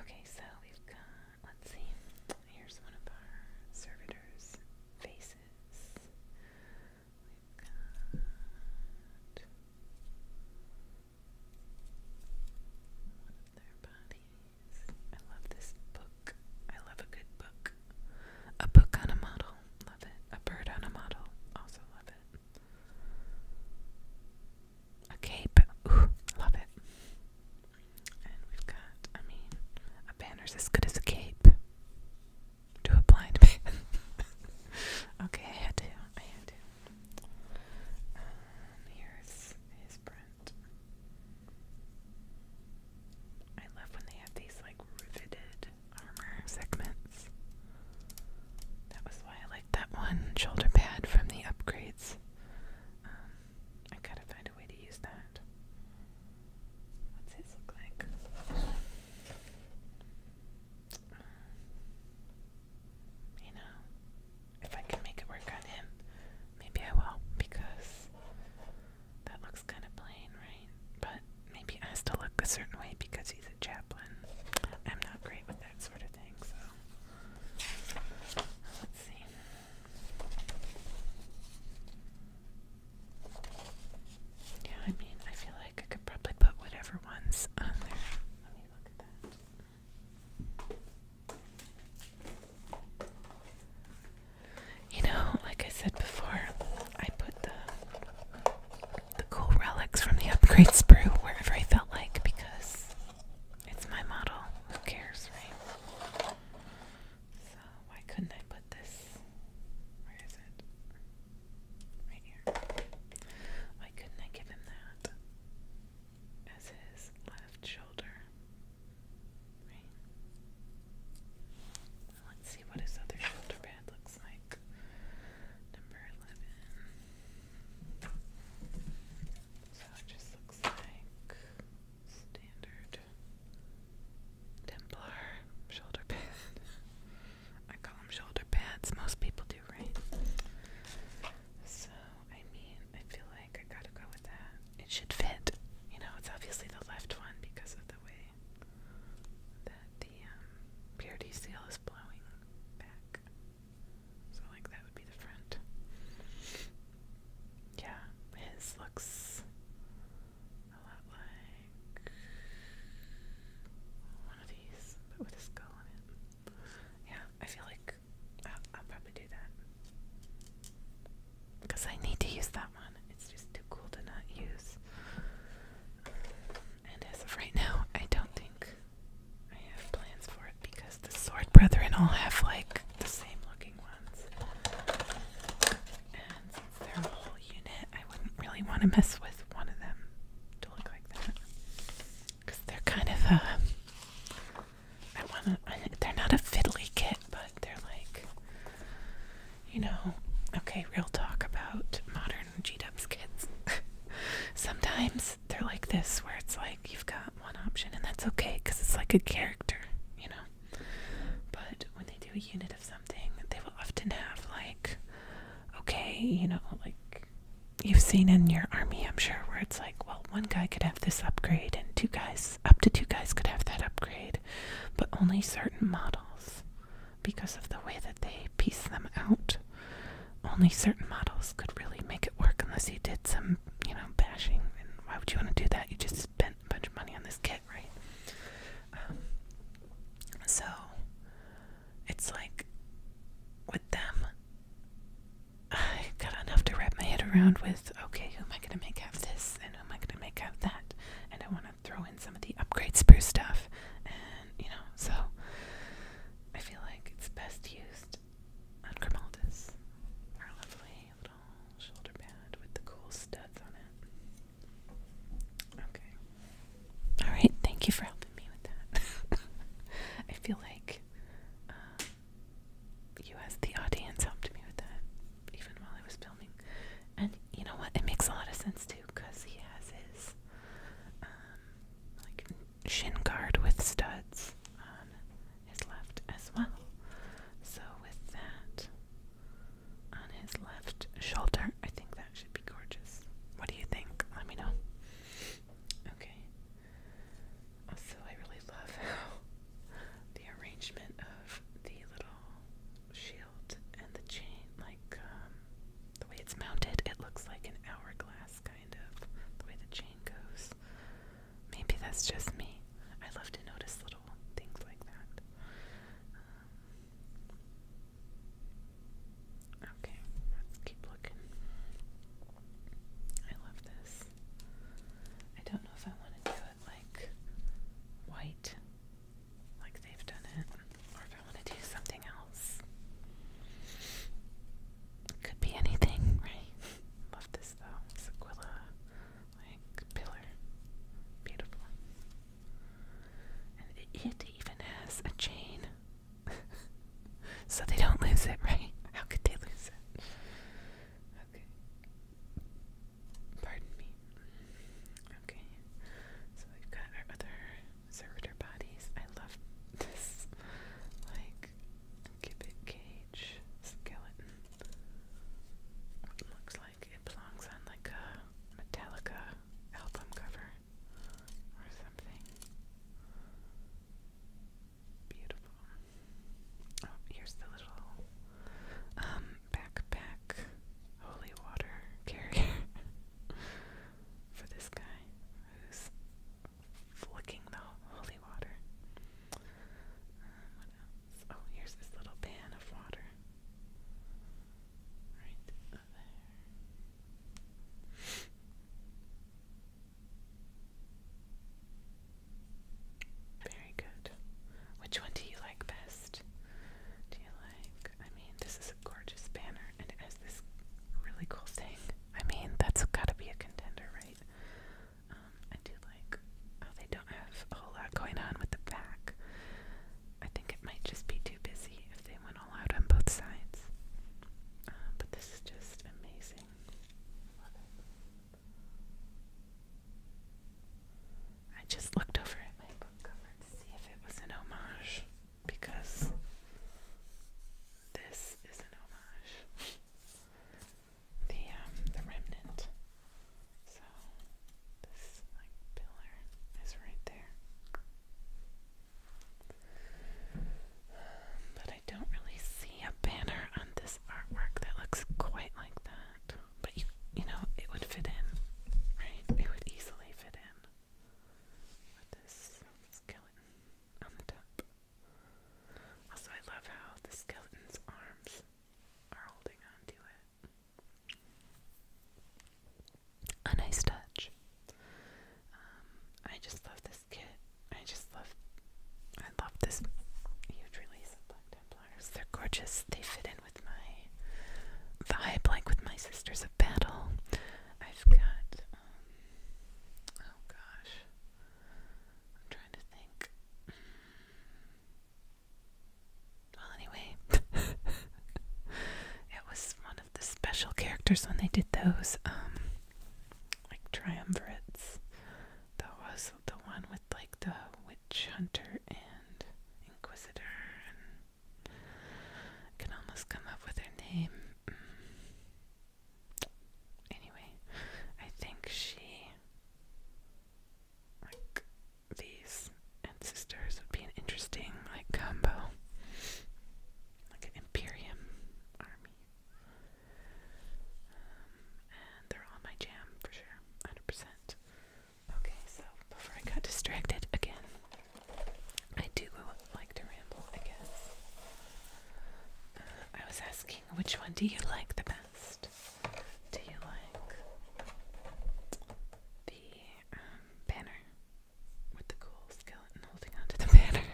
Okay, so we've got, let's see, here's one of our servitors' faces we I love this book. I love a good book. A book on a model. Love it. A bird on a model. Also love it. A cape. love it. And we've got, I mean, a banner's as good as a cape to a blind man. okay, I had to. I had to. Um, here's his print. I love when they have these like riveted armor segments. That was why I like that one shoulder pad from the upgrades. Um, I gotta find way to use that. What's his look like? You know, if I can make it work on him, maybe I will, because that looks kind of plain, right? But maybe it has to look a certain way because he's a chaplain. I'm not great with that sort of thing, so. Let's see. Yeah, I mean, I feel like I could probably put whatever ones on there. Let me look at that. You know, like I said before, I put the the cool relics from the upgrade sprue wherever I felt like because it's my model. Who cares, right? So why couldn't I put this? Where is it? Right here. Why couldn't I give him that as his left shoulder? Right. Let's see what his other shoulder pad looks like. Number 11. So it just looks like Standard Templar shoulder pad. I call them shoulder pads. Most people do, right? So, I mean, I feel like I gotta go with that. It should fit. You know, it's obviously the left one because of the way that the um, purity seal is blowing back. So, like, that would be the front. Yeah, his looks a lot like one of these, but with a skull on it. Yeah, I feel like I'll, probably do that. Because I need to use that one. It's just too cool to not use. and as of right now, I don't think I have plans for it because the Sword Brethren all have like the same looking ones their whole unit. I wouldn't really want to mess with one of them to look like that because they're kind of a. Uh, I want to. They're not a fiddly kit, but they're like, you know. Okay, real talk about modern G Dubs kits. Sometimes they're like this, where it's like you've got one option, and that's okay because it's like a character, you know. But when they do a unit end of something, they will often have like, okay, you know, like you've seen in your army, I'm sure, where it's like, well, one guy could have this upgrade, and two guys, up to two guys, could have that upgrade, but only certain models, because of the way that they piece them out. Only certain models could really make it work unless you did some, you know, bashing. And why would you want to do that? You just spend bunch of money on this kit, right? Um, so it's like with them, I got enough to wrap my head around with. Okay, who am I gonna make out this, and who am I gonna make out that? And I want to throw in some of the upgrade spruce stuff, and you know, so I feel like it's best used on Grimaldis. Our lovely little shoulder pad with the cool studs on it. Okay. All right. Thank you for helping me with that. I feel like uh, you, as the audience, helped me with that, even while I was filming. And you know what? It makes a lot of sense too, because he has his um, like shin guard with studs on his left as well. So with that, on his left shoulder. I think that should be gorgeous. What do you think? Let me know. Okay. Also, I really love how the arrangement of the little shield and the chain, like um, the way it's mounted, it looks like an hourglass, kind of, the way the chain goes. Maybe that's just me. I love to notice little things like that. Um, Okay, let's keep looking. I love this. I don't know if I want to do it like white, like they've done it, or if I want to do something else. could be anything, right? love this though. Sequilla, like pillar. Beautiful. And it even has a chain. so they don't lose it, right? How could they lose it? Okay. Pardon me. Okay. So we've got our other servitor I love this. Like, gibbet cage skeleton. It looks like it belongs on like a Metallica album cover or something. Beautiful. Oh, here's the little um, backpack holy water carrier for this guy who's flicking the holy water. Uh, oh, here's this little pan of water. Very good. Which one do you like best? Do you like, I mean, this is a gorgeous banner and it has this really cool thing. I mean, that's gotta be a contender, right? Um, I do like, oh, they don't have a whole lot going on with the back. I think it might just be too busy if they went all out on both sides. Uh, but this is just amazing. I just looked over at my book cover to see if it was an homage because this is an homage. The um the remnant so this like pillar is right there. but I don't really see a banner on this artwork that looks quite like that. But you you know, it would fit in, right? It would easily fit in with this skeleton on the top. Also I love how the skeleton's arms are holding on to it. A nice touch. Um, I just love this kit. I just love, I love this huge release of Black Templars. They're gorgeous. They fit in with my vibe, like with my Sisters of Battle. I've got, um, oh gosh, I'm trying to think. Well, anyway, it was one of the special characters when they did those, um, like triumvirates. That was the one with like the witch hunter and inquisitor, and can almost come up with her name. Anyway, I think she these and sisters would be an interesting like combo. Like an Imperium army. Um, and they're all my jam for sure, 100%. Okay, so before I got distracted again, I do like to ramble, I guess. Uh, I was asking, which one do you like the best? Do you like the um, banner with the cool skeleton holding onto the banner.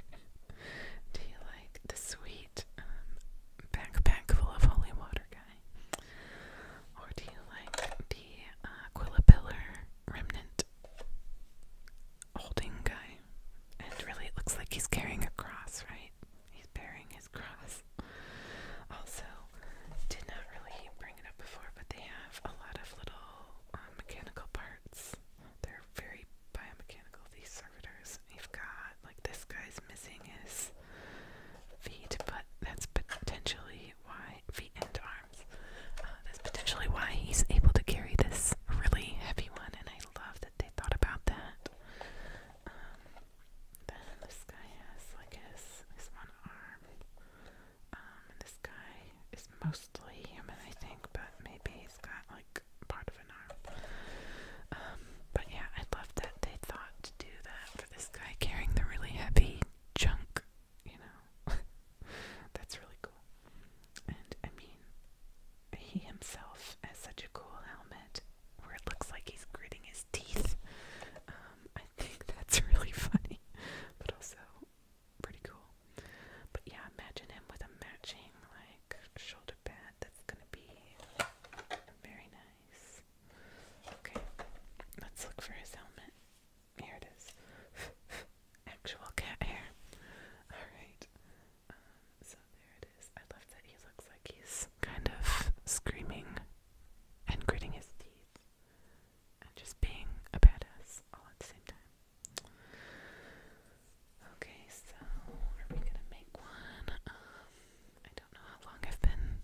Do you like the sweet um, backpack full of holy water guy? Or do you like the uh, remnant holding guy? And really, it looks like he's carrying a cross, right? He's bearing his cross. Also, did not really bring it up before, but they have a lot of little um, mechanical parts. They're very biomechanical, these servitors. You've got, like, this guy's missing his feet, but that's potentially why, feet and arms, uh, that's potentially why he's able to carry this really heavy one, and I love that they thought about that. Um, then this guy has, like, his, his one arm. Um, this guy is mostly human, I think, but maybe he's got like part of an arm. Um, but yeah, I love that they thought to do that for this guy carrying the really heavy junk, you know. That's really cool. And I mean, he himself has such a cool helmet where it looks like he's gritting his teeth. Um, I think that's really funny, but also pretty cool. But yeah, imagine him with a matching like shoulder pad. That's gonna be very nice. Okay, let's look for his helmet. Here it is. Actual cat hair. Alright. Um, so there it is. I love that he looks like he's kind of screaming and gritting his teeth just being a badass all at the same time. Okay, so are we gonna make one? Um, I don't know how long I've been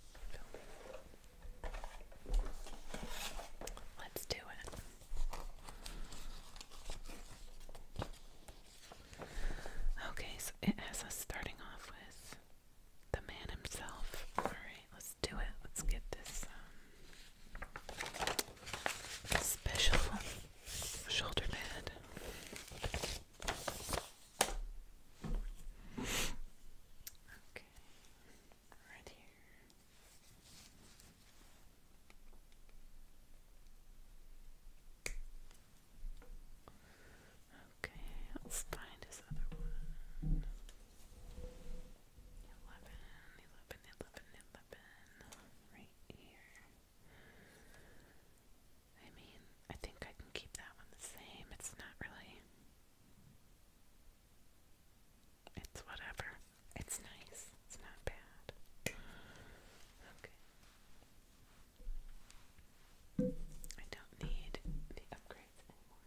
Let's do it. Okay, so it has us starting off with the man himself let's do it. Let's get this um, special shoulder pad. Okay, right here. Okay, let's find his other one. 11, right here. I mean, I think I can keep that one the same. It's not really. It's whatever. It's nice. It's not bad. Okay. I don't need the upgrades anymore.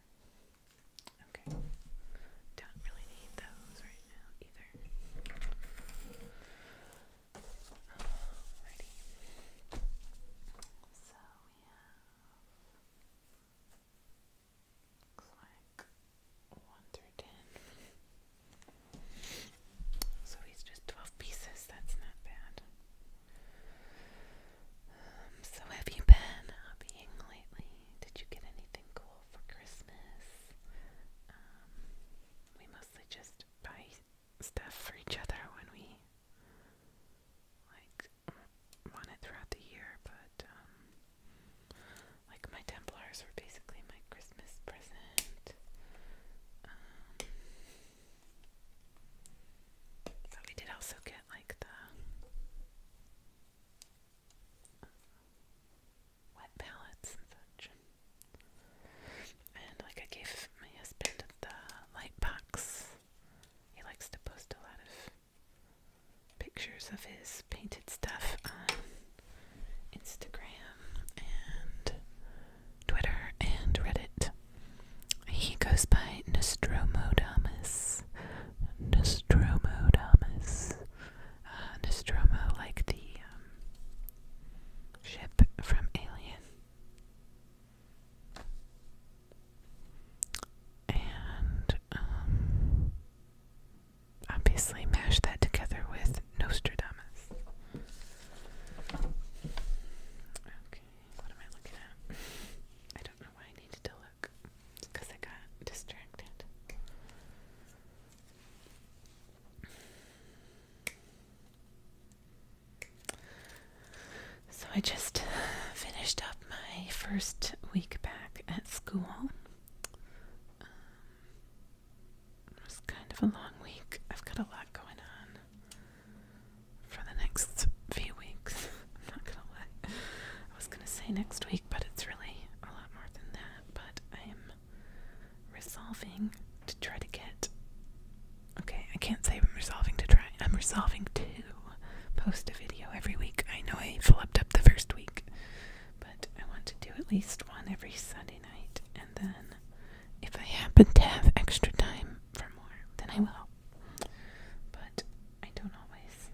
Okay. Don't really need those right now either. Alrighty. So we have looks one through ten. So he's just twelve pieces, that's not bad. Um, so have you been hobbying lately? Did you get anything cool? for Christmas. Um, we mostly just buy stuff for each other when we like want it throughout the year, but um, like my Templars were basically my Christmas present. Um, but we did also get like the wet palettes and such. And like I gave my husband the light He likes to post a lot of pictures of his painted stuff on Instagram and Twitter and Reddit. He goes by Nostromodamus. Nostromodamus uh, like the um, ship from Alien. And um, obviously, mash that together with Nostradamus. Okay, what am I looking at? I don't know why I need to delete because I got distracted. So I just finished up my first week back at school. Um, it was kind of a long week. I've got a lot going on for the next few weeks. not gonna lie. I was gonna say next week, but it's really a lot more than that. But I am resolving to try to get. Okay, I can't say I'm resolving to try. I'm resolving to post a video every week. I know I flubbed up the first week, but I want to do at least one every Sunday night, and then if I happen to have extra time for more, then I will. But I don't always.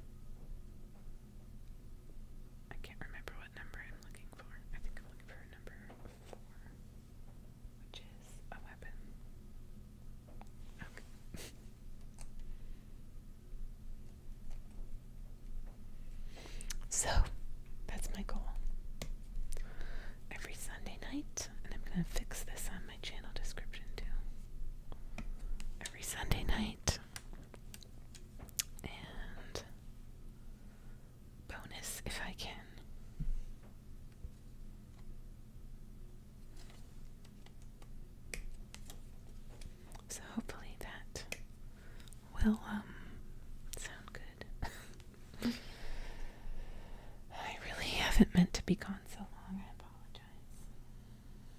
I can't remember what number I'm looking for. I think I'm looking for number four, which is a weapon. Okay. so, that's my goal. Every Sunday night, and I'm going to fix this on my channel description too. Every Sunday night, and bonus if I can. So hopefully that will um, sound good. I really haven't meant to be gone so long. I apologize.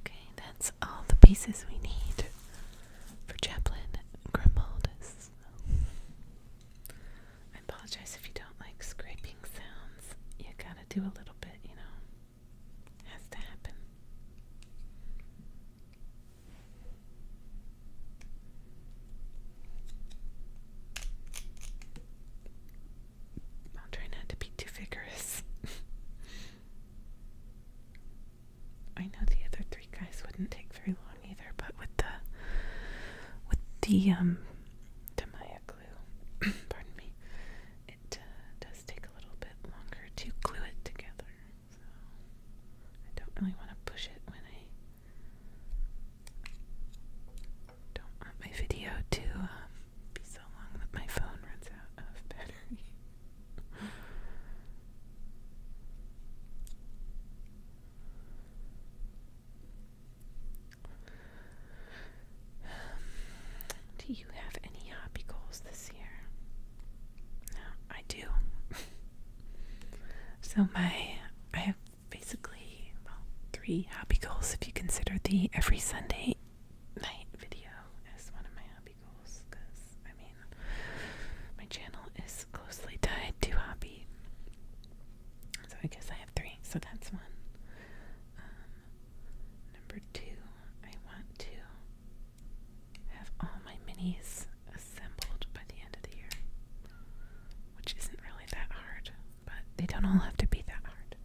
Okay, that's all the pieces we need for Chaplin Grimaldus. I apologize if you don't like scraping sounds. You gotta do a little bit, you know. It I'll try not to be too vigorous. I know the other three guys wouldn't take very long either, but with the with the um Tamaya glue, pardon me, it uh, does take a little bit longer to glue it together. So I don't really want to push it when I don't want my video to um, be so long that my phone runs out of battery. Do you have any happy goals this year? No, I do. so my I have basically well three happy goals if you consider the every Sunday night video as one of my hobby goals because I mean my channel is closely tied to hobby. So I guess I have three. So that's one. Um, number two, I want to have all my minis assembled by the end of the year, which isn't really that hard, but they don't all have to be that hard.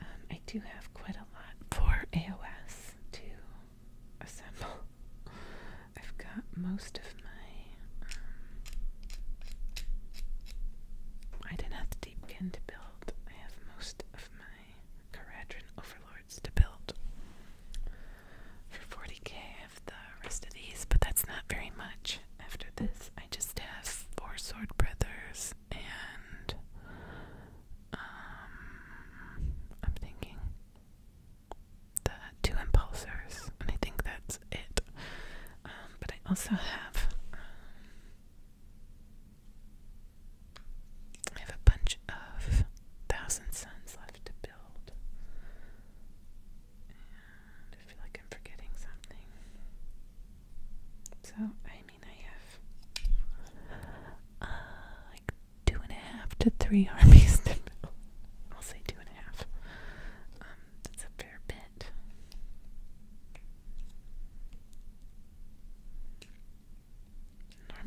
Um, I do have quite a for AOS to assemble. I've got most of my. Um, I didn't have the Deepkin to build. I have most of my Caradron Overlords to build. For 40k, I have the rest of these, but that's not very much. After this, I just have four Sword Brothers and um, I'm thinking the two impulsors, and I think that's it. Um, but I also have um, I have a bunch of Thousand Suns left to build, I feel like I'm forgetting something. So I I have uh, like two and a half to three armies to I'll say two and a half. Um, that's a fair bit.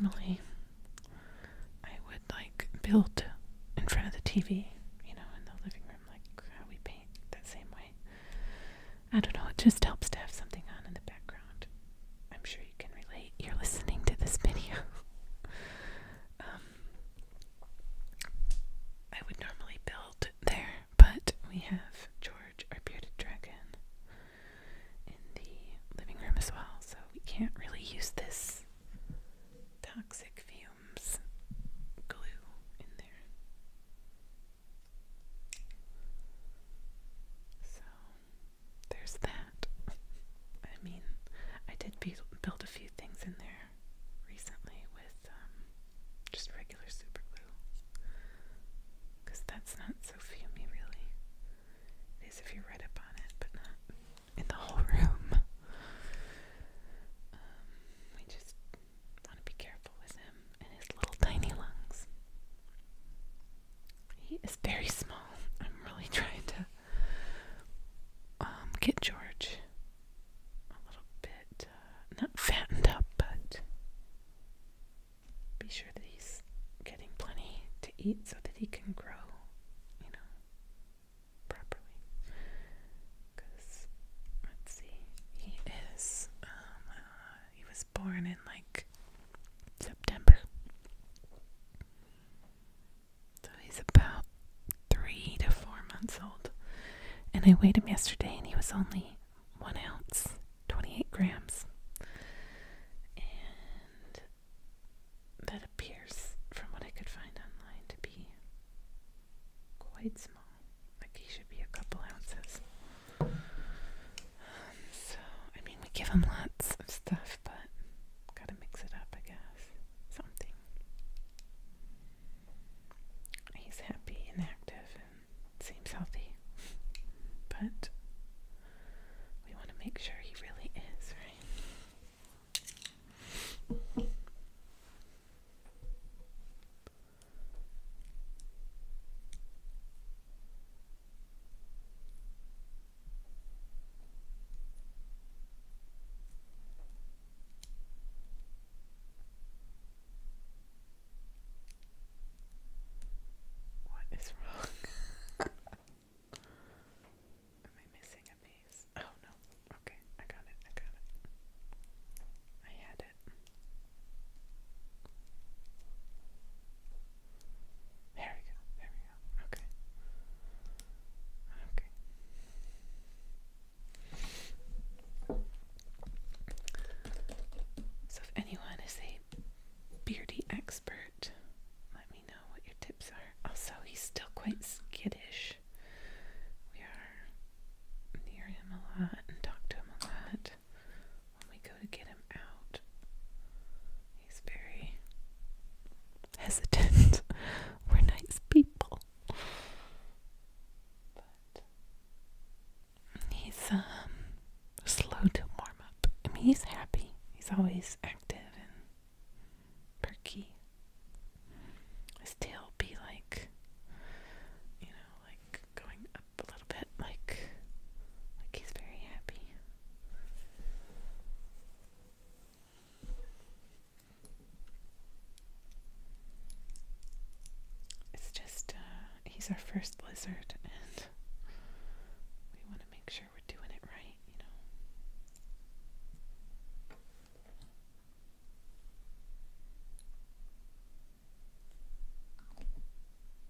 Normally, I would like build in front of the TV, you know, in the living room, like how we paint that same way. I don't know, it just helps to have something on in the background. I'm sure you can relate. You're listening to this video. Um, I would normally build there, but we have George, our bearded dragon, in the living room as well, so we can't really use this toxic fumes glue in there. So there's that. I mean, I did build a few things in there recently with um, just regular super glue. that's not so fumey, really. It is if you read up on it, but not in the whole room. Um, we just want to be careful with him and his little tiny lungs. He is very small. I'm really trying to um, get George a little bit, uh, not fattened up, but be sure that he's getting plenty to eat so that he can grow, you know, properly. Because, let's see, he is, um, he was born in like September. So he's about three to four months old. And I weighed him yesterday and he was only one ounce, 28 grams. And that appears, from what I could find online, to be quite small. Like he should be a couple ounces so, I mean, we give them lots of stuff, but gotta mix it up, I guess. Something. He's happy and active and seems healthy, but we want to make sure he really is, right? What is wrong? Am I missing a piece? Oh no. Okay, I got it. I got it. I had it. There we go. There we go. Okay. Okay. So, if anyone is a beardy expert, let me know what your tips are. Also, he's still quite skittish. We are near him a lot and talk to him a lot when we go to get him out. He's very hesitant. We're nice people. But he's um slow to warm up. I he's happy. He's always active and perky. His tail be like you know, like going up bit like like he's very happy. It's just uh, he's our first lizard, and we want to make sure we're doing it right, you know.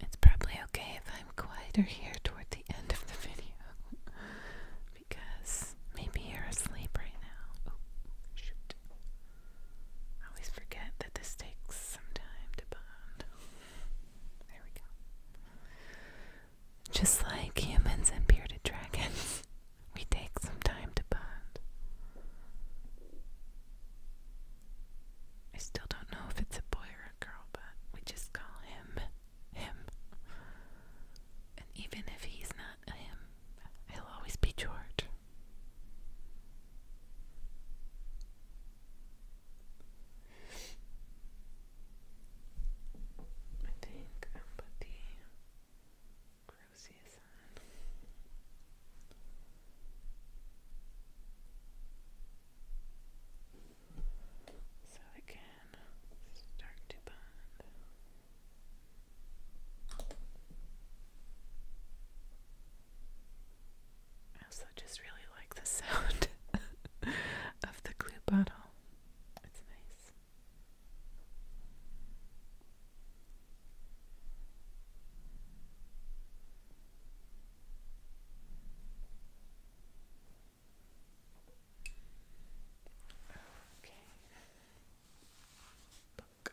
It's probably okay if I'm quieter here toward the end of the video because maybe you're asleep right now. always forget that this takes some time to bond. There we go. Just like humans and bearded dragons, we take some time to bond. I still don't know if it's a boy or a girl, but we just call him him. And even if he's not a him, he'll always be George. I think i am put the on. So it can start to bond. also just really like the sound of the glue bottle well. It's nice. Okay. Book.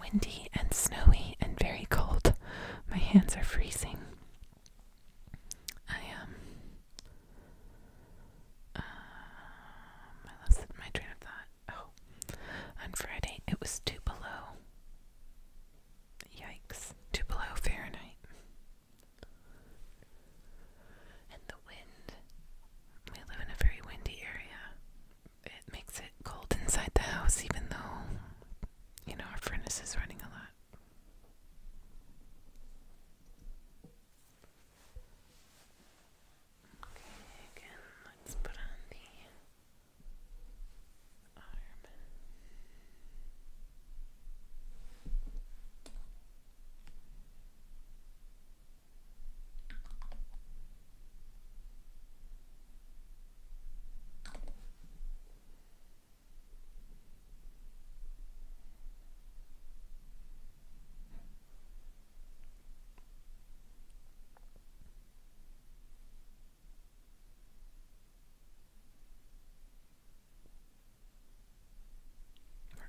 Windy and snowy and very cold. My hands are freezing. I um um my train of thought. Oh. On Friday it was two below. Yikes. Two below Fahrenheit. And the wind. We live in a very windy area it makes it cold inside the house, even though, you know, our furnace is running a lot. Okay, again, let's put on the arm.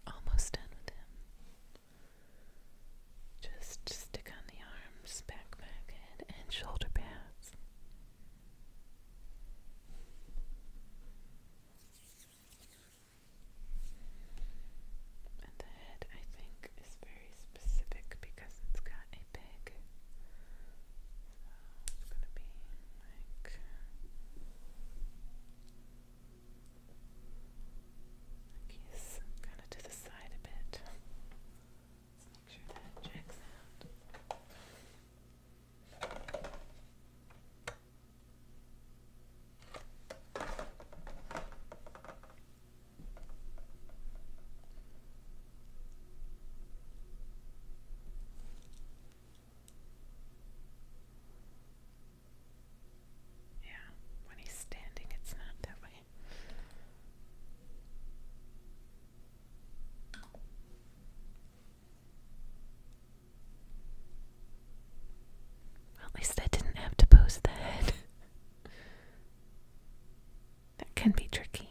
We're almost done with him. Just stick on the arms, back, back, head, and shoulder pad hands. And the head, I think, is very specific because it's got a pig. So it's going to be like. kind of to the side a bit. Let's make sure that checks out. Yeah, when he's standing, it's not that way at least I didn't have to pose the head. that can be tricky.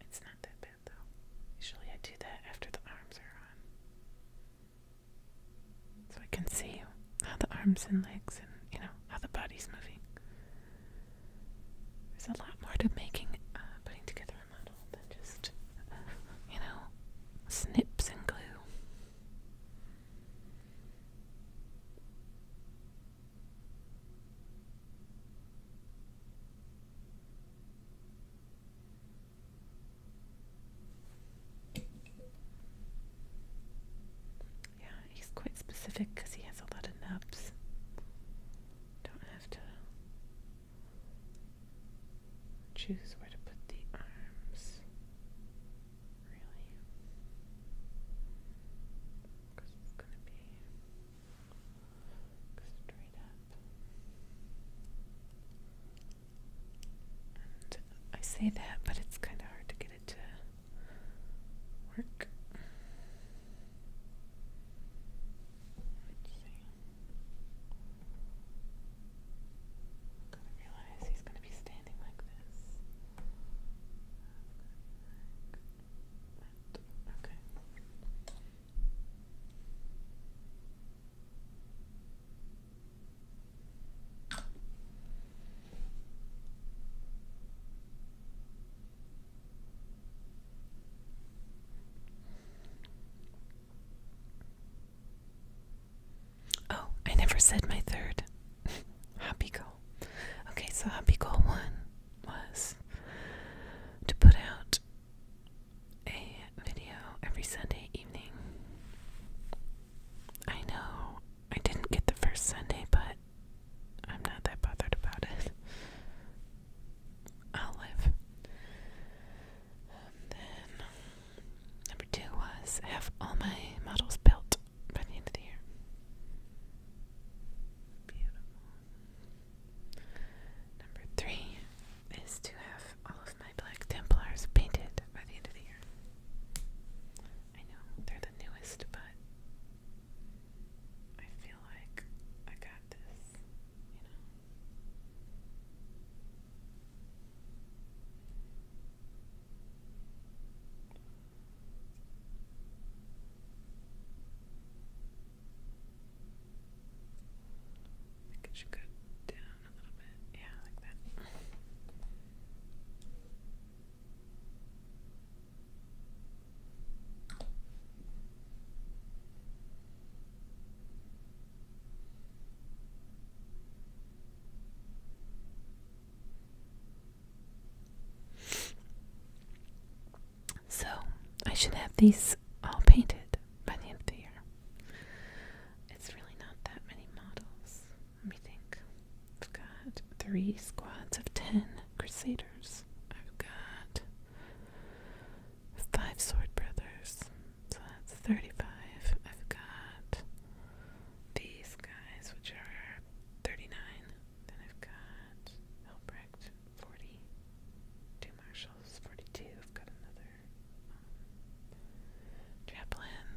It's not that bad though. Usually I do that after the arms are on. So I can see how the arms and legs and, you know, how the body's moving. There's a lot more to making, uh, putting together a model than just, you know, snips and glue. Yeah, he's quite specific because he has a lot of nubs don't have to choose where to put the arms, really, it's going to be straight up. I say that, but it's kind of hard to get it to work. Let's to realize he's gonna be standing like this. Okay. Oh, I never said my third. Happy goal. Okay, so happy goal one was to put out a video every Sunday evening. I know I didn't get the first Sunday, but I'm not that bothered about it. I'll live. then number two was have all my models built by the end of the year. Number three is to have all of my Black Templars painted by the end of the year. I know they're the newest, but I feel like I got this, you know. I think go down a little bit. Yeah, like that. So, I should have these all painted by the end of the year. It's really not that many models. Let me think. I've got three squads of ten Crusaders. I've got five sword brothers. So that's 35. I've got these guys, which are 39. Then I've got Albrecht, 40. Two marshals, 42. I've got another um,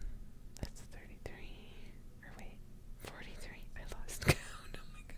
that's 33. Or wait, 43. I lost count. Oh my god.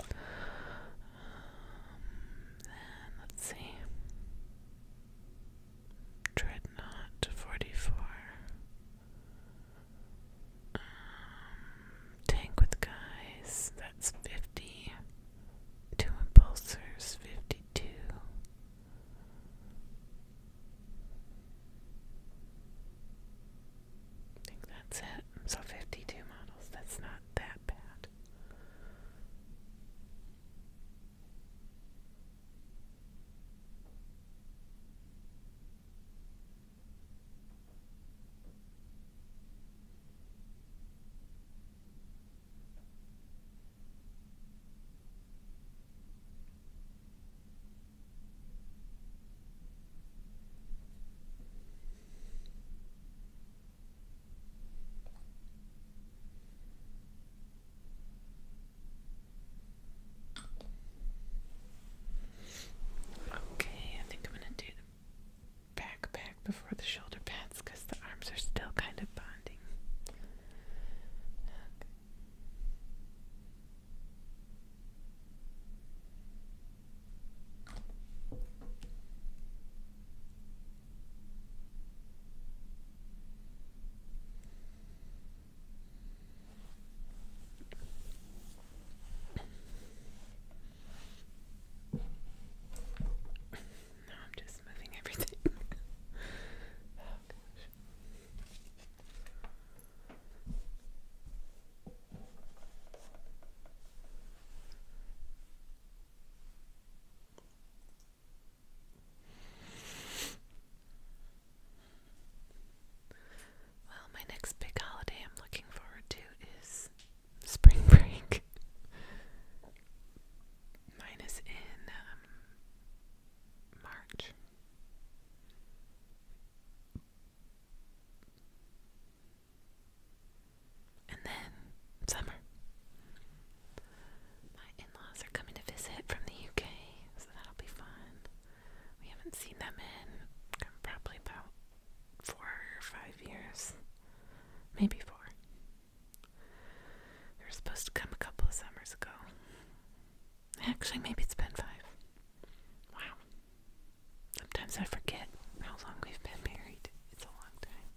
Um, let's see. Dreadnought forty four. Um, tank with guys, that's fifty. Two impulsors, fifty two. I think that's it. So 52 models. That's not that bad. Okay, I think I'm going to do the backpack before the shoulder pads because the arms are still kind of bonding. Now I'm just moving everything. oh gosh. Well, my next big holiday I'm looking forward to is spring break. Mine is in um, March. And then summer. My in laws are coming to visit from the UK, so that'll be fun. We haven't seen them in probably about four or five years. Maybe four. They were supposed to come a couple of summers ago, Actually, maybe it's been five. Wow. Sometimes I forget how long we've been married. It's a long time.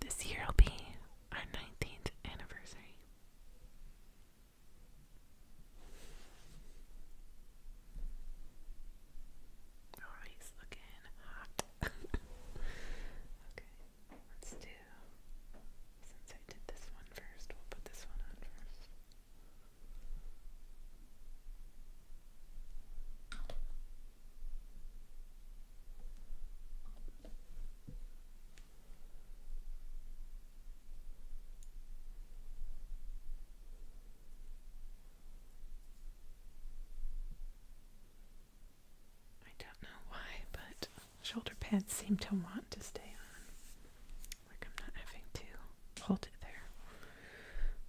This year will be our 19th anniversary. Oh, he's looking hot. okay, let's do. Since I did this one first, we'll put this one on first. I don't know why, but shoulder pads seem to want to stay on. Like I'm not having to hold it there.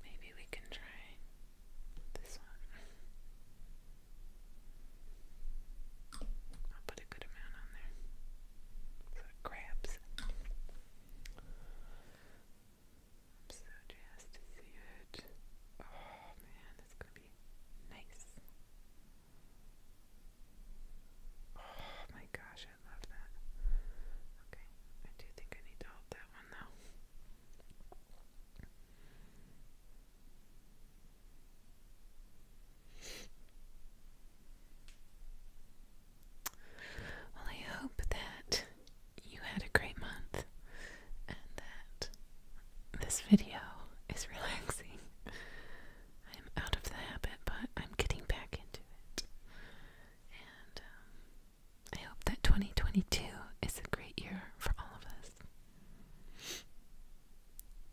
Maybe we can try this one. I'll put a good amount on there so it grabs. I'm so jazzed to see it. Oh man, it's gonna be nice. Oh my gosh, I love that. Okay, I do think I need to hold that one though. Well, I hope that you had a great month and that this video is relaxing. I'm out of the habit, but I'm getting back into it. And um, I hope that 2022 is a great year for all of us.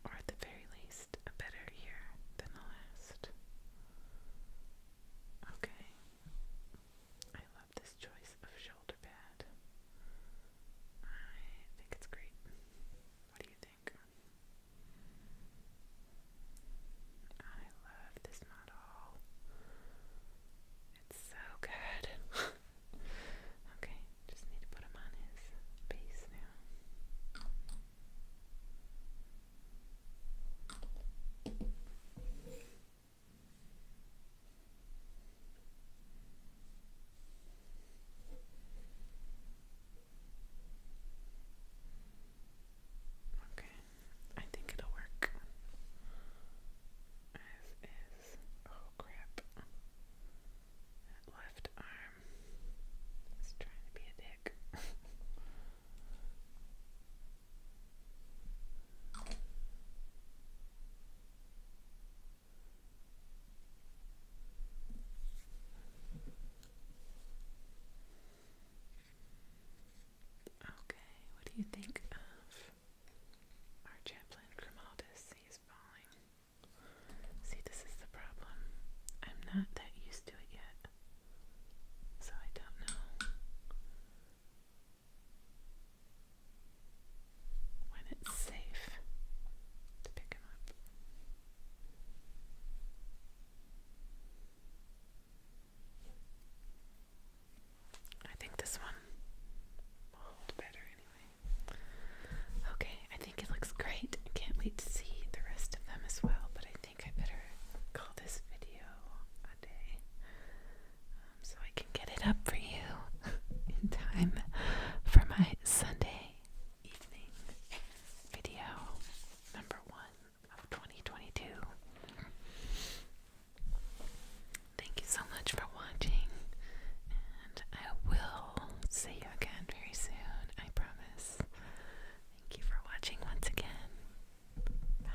Or at the very least, a better year than the last. Okay. I love this choice of shoulder pad. I think it's great. What do you think? I love this model. It's so good. okay, just need to put him on his base now. Okay, I think it'll work. As is, oh crap, that left arm is trying to be a dick. Okay, what do you think of our chaplain Grimaldus? He's falling. See, this is the problem. I'm not that used to it yet, so I don't know when it's safe to pick him up. I think this one will hold better anyway. Okay, I think it looks great. I can't wait to see the rest of them as well, but I think I better call this video a day. Um, so I can get it up for you in time for my Sunday evening video number one of 2022. Thank you so much for watching, and I will see you again very soon, I promise. Thank you for watching once again. Bye.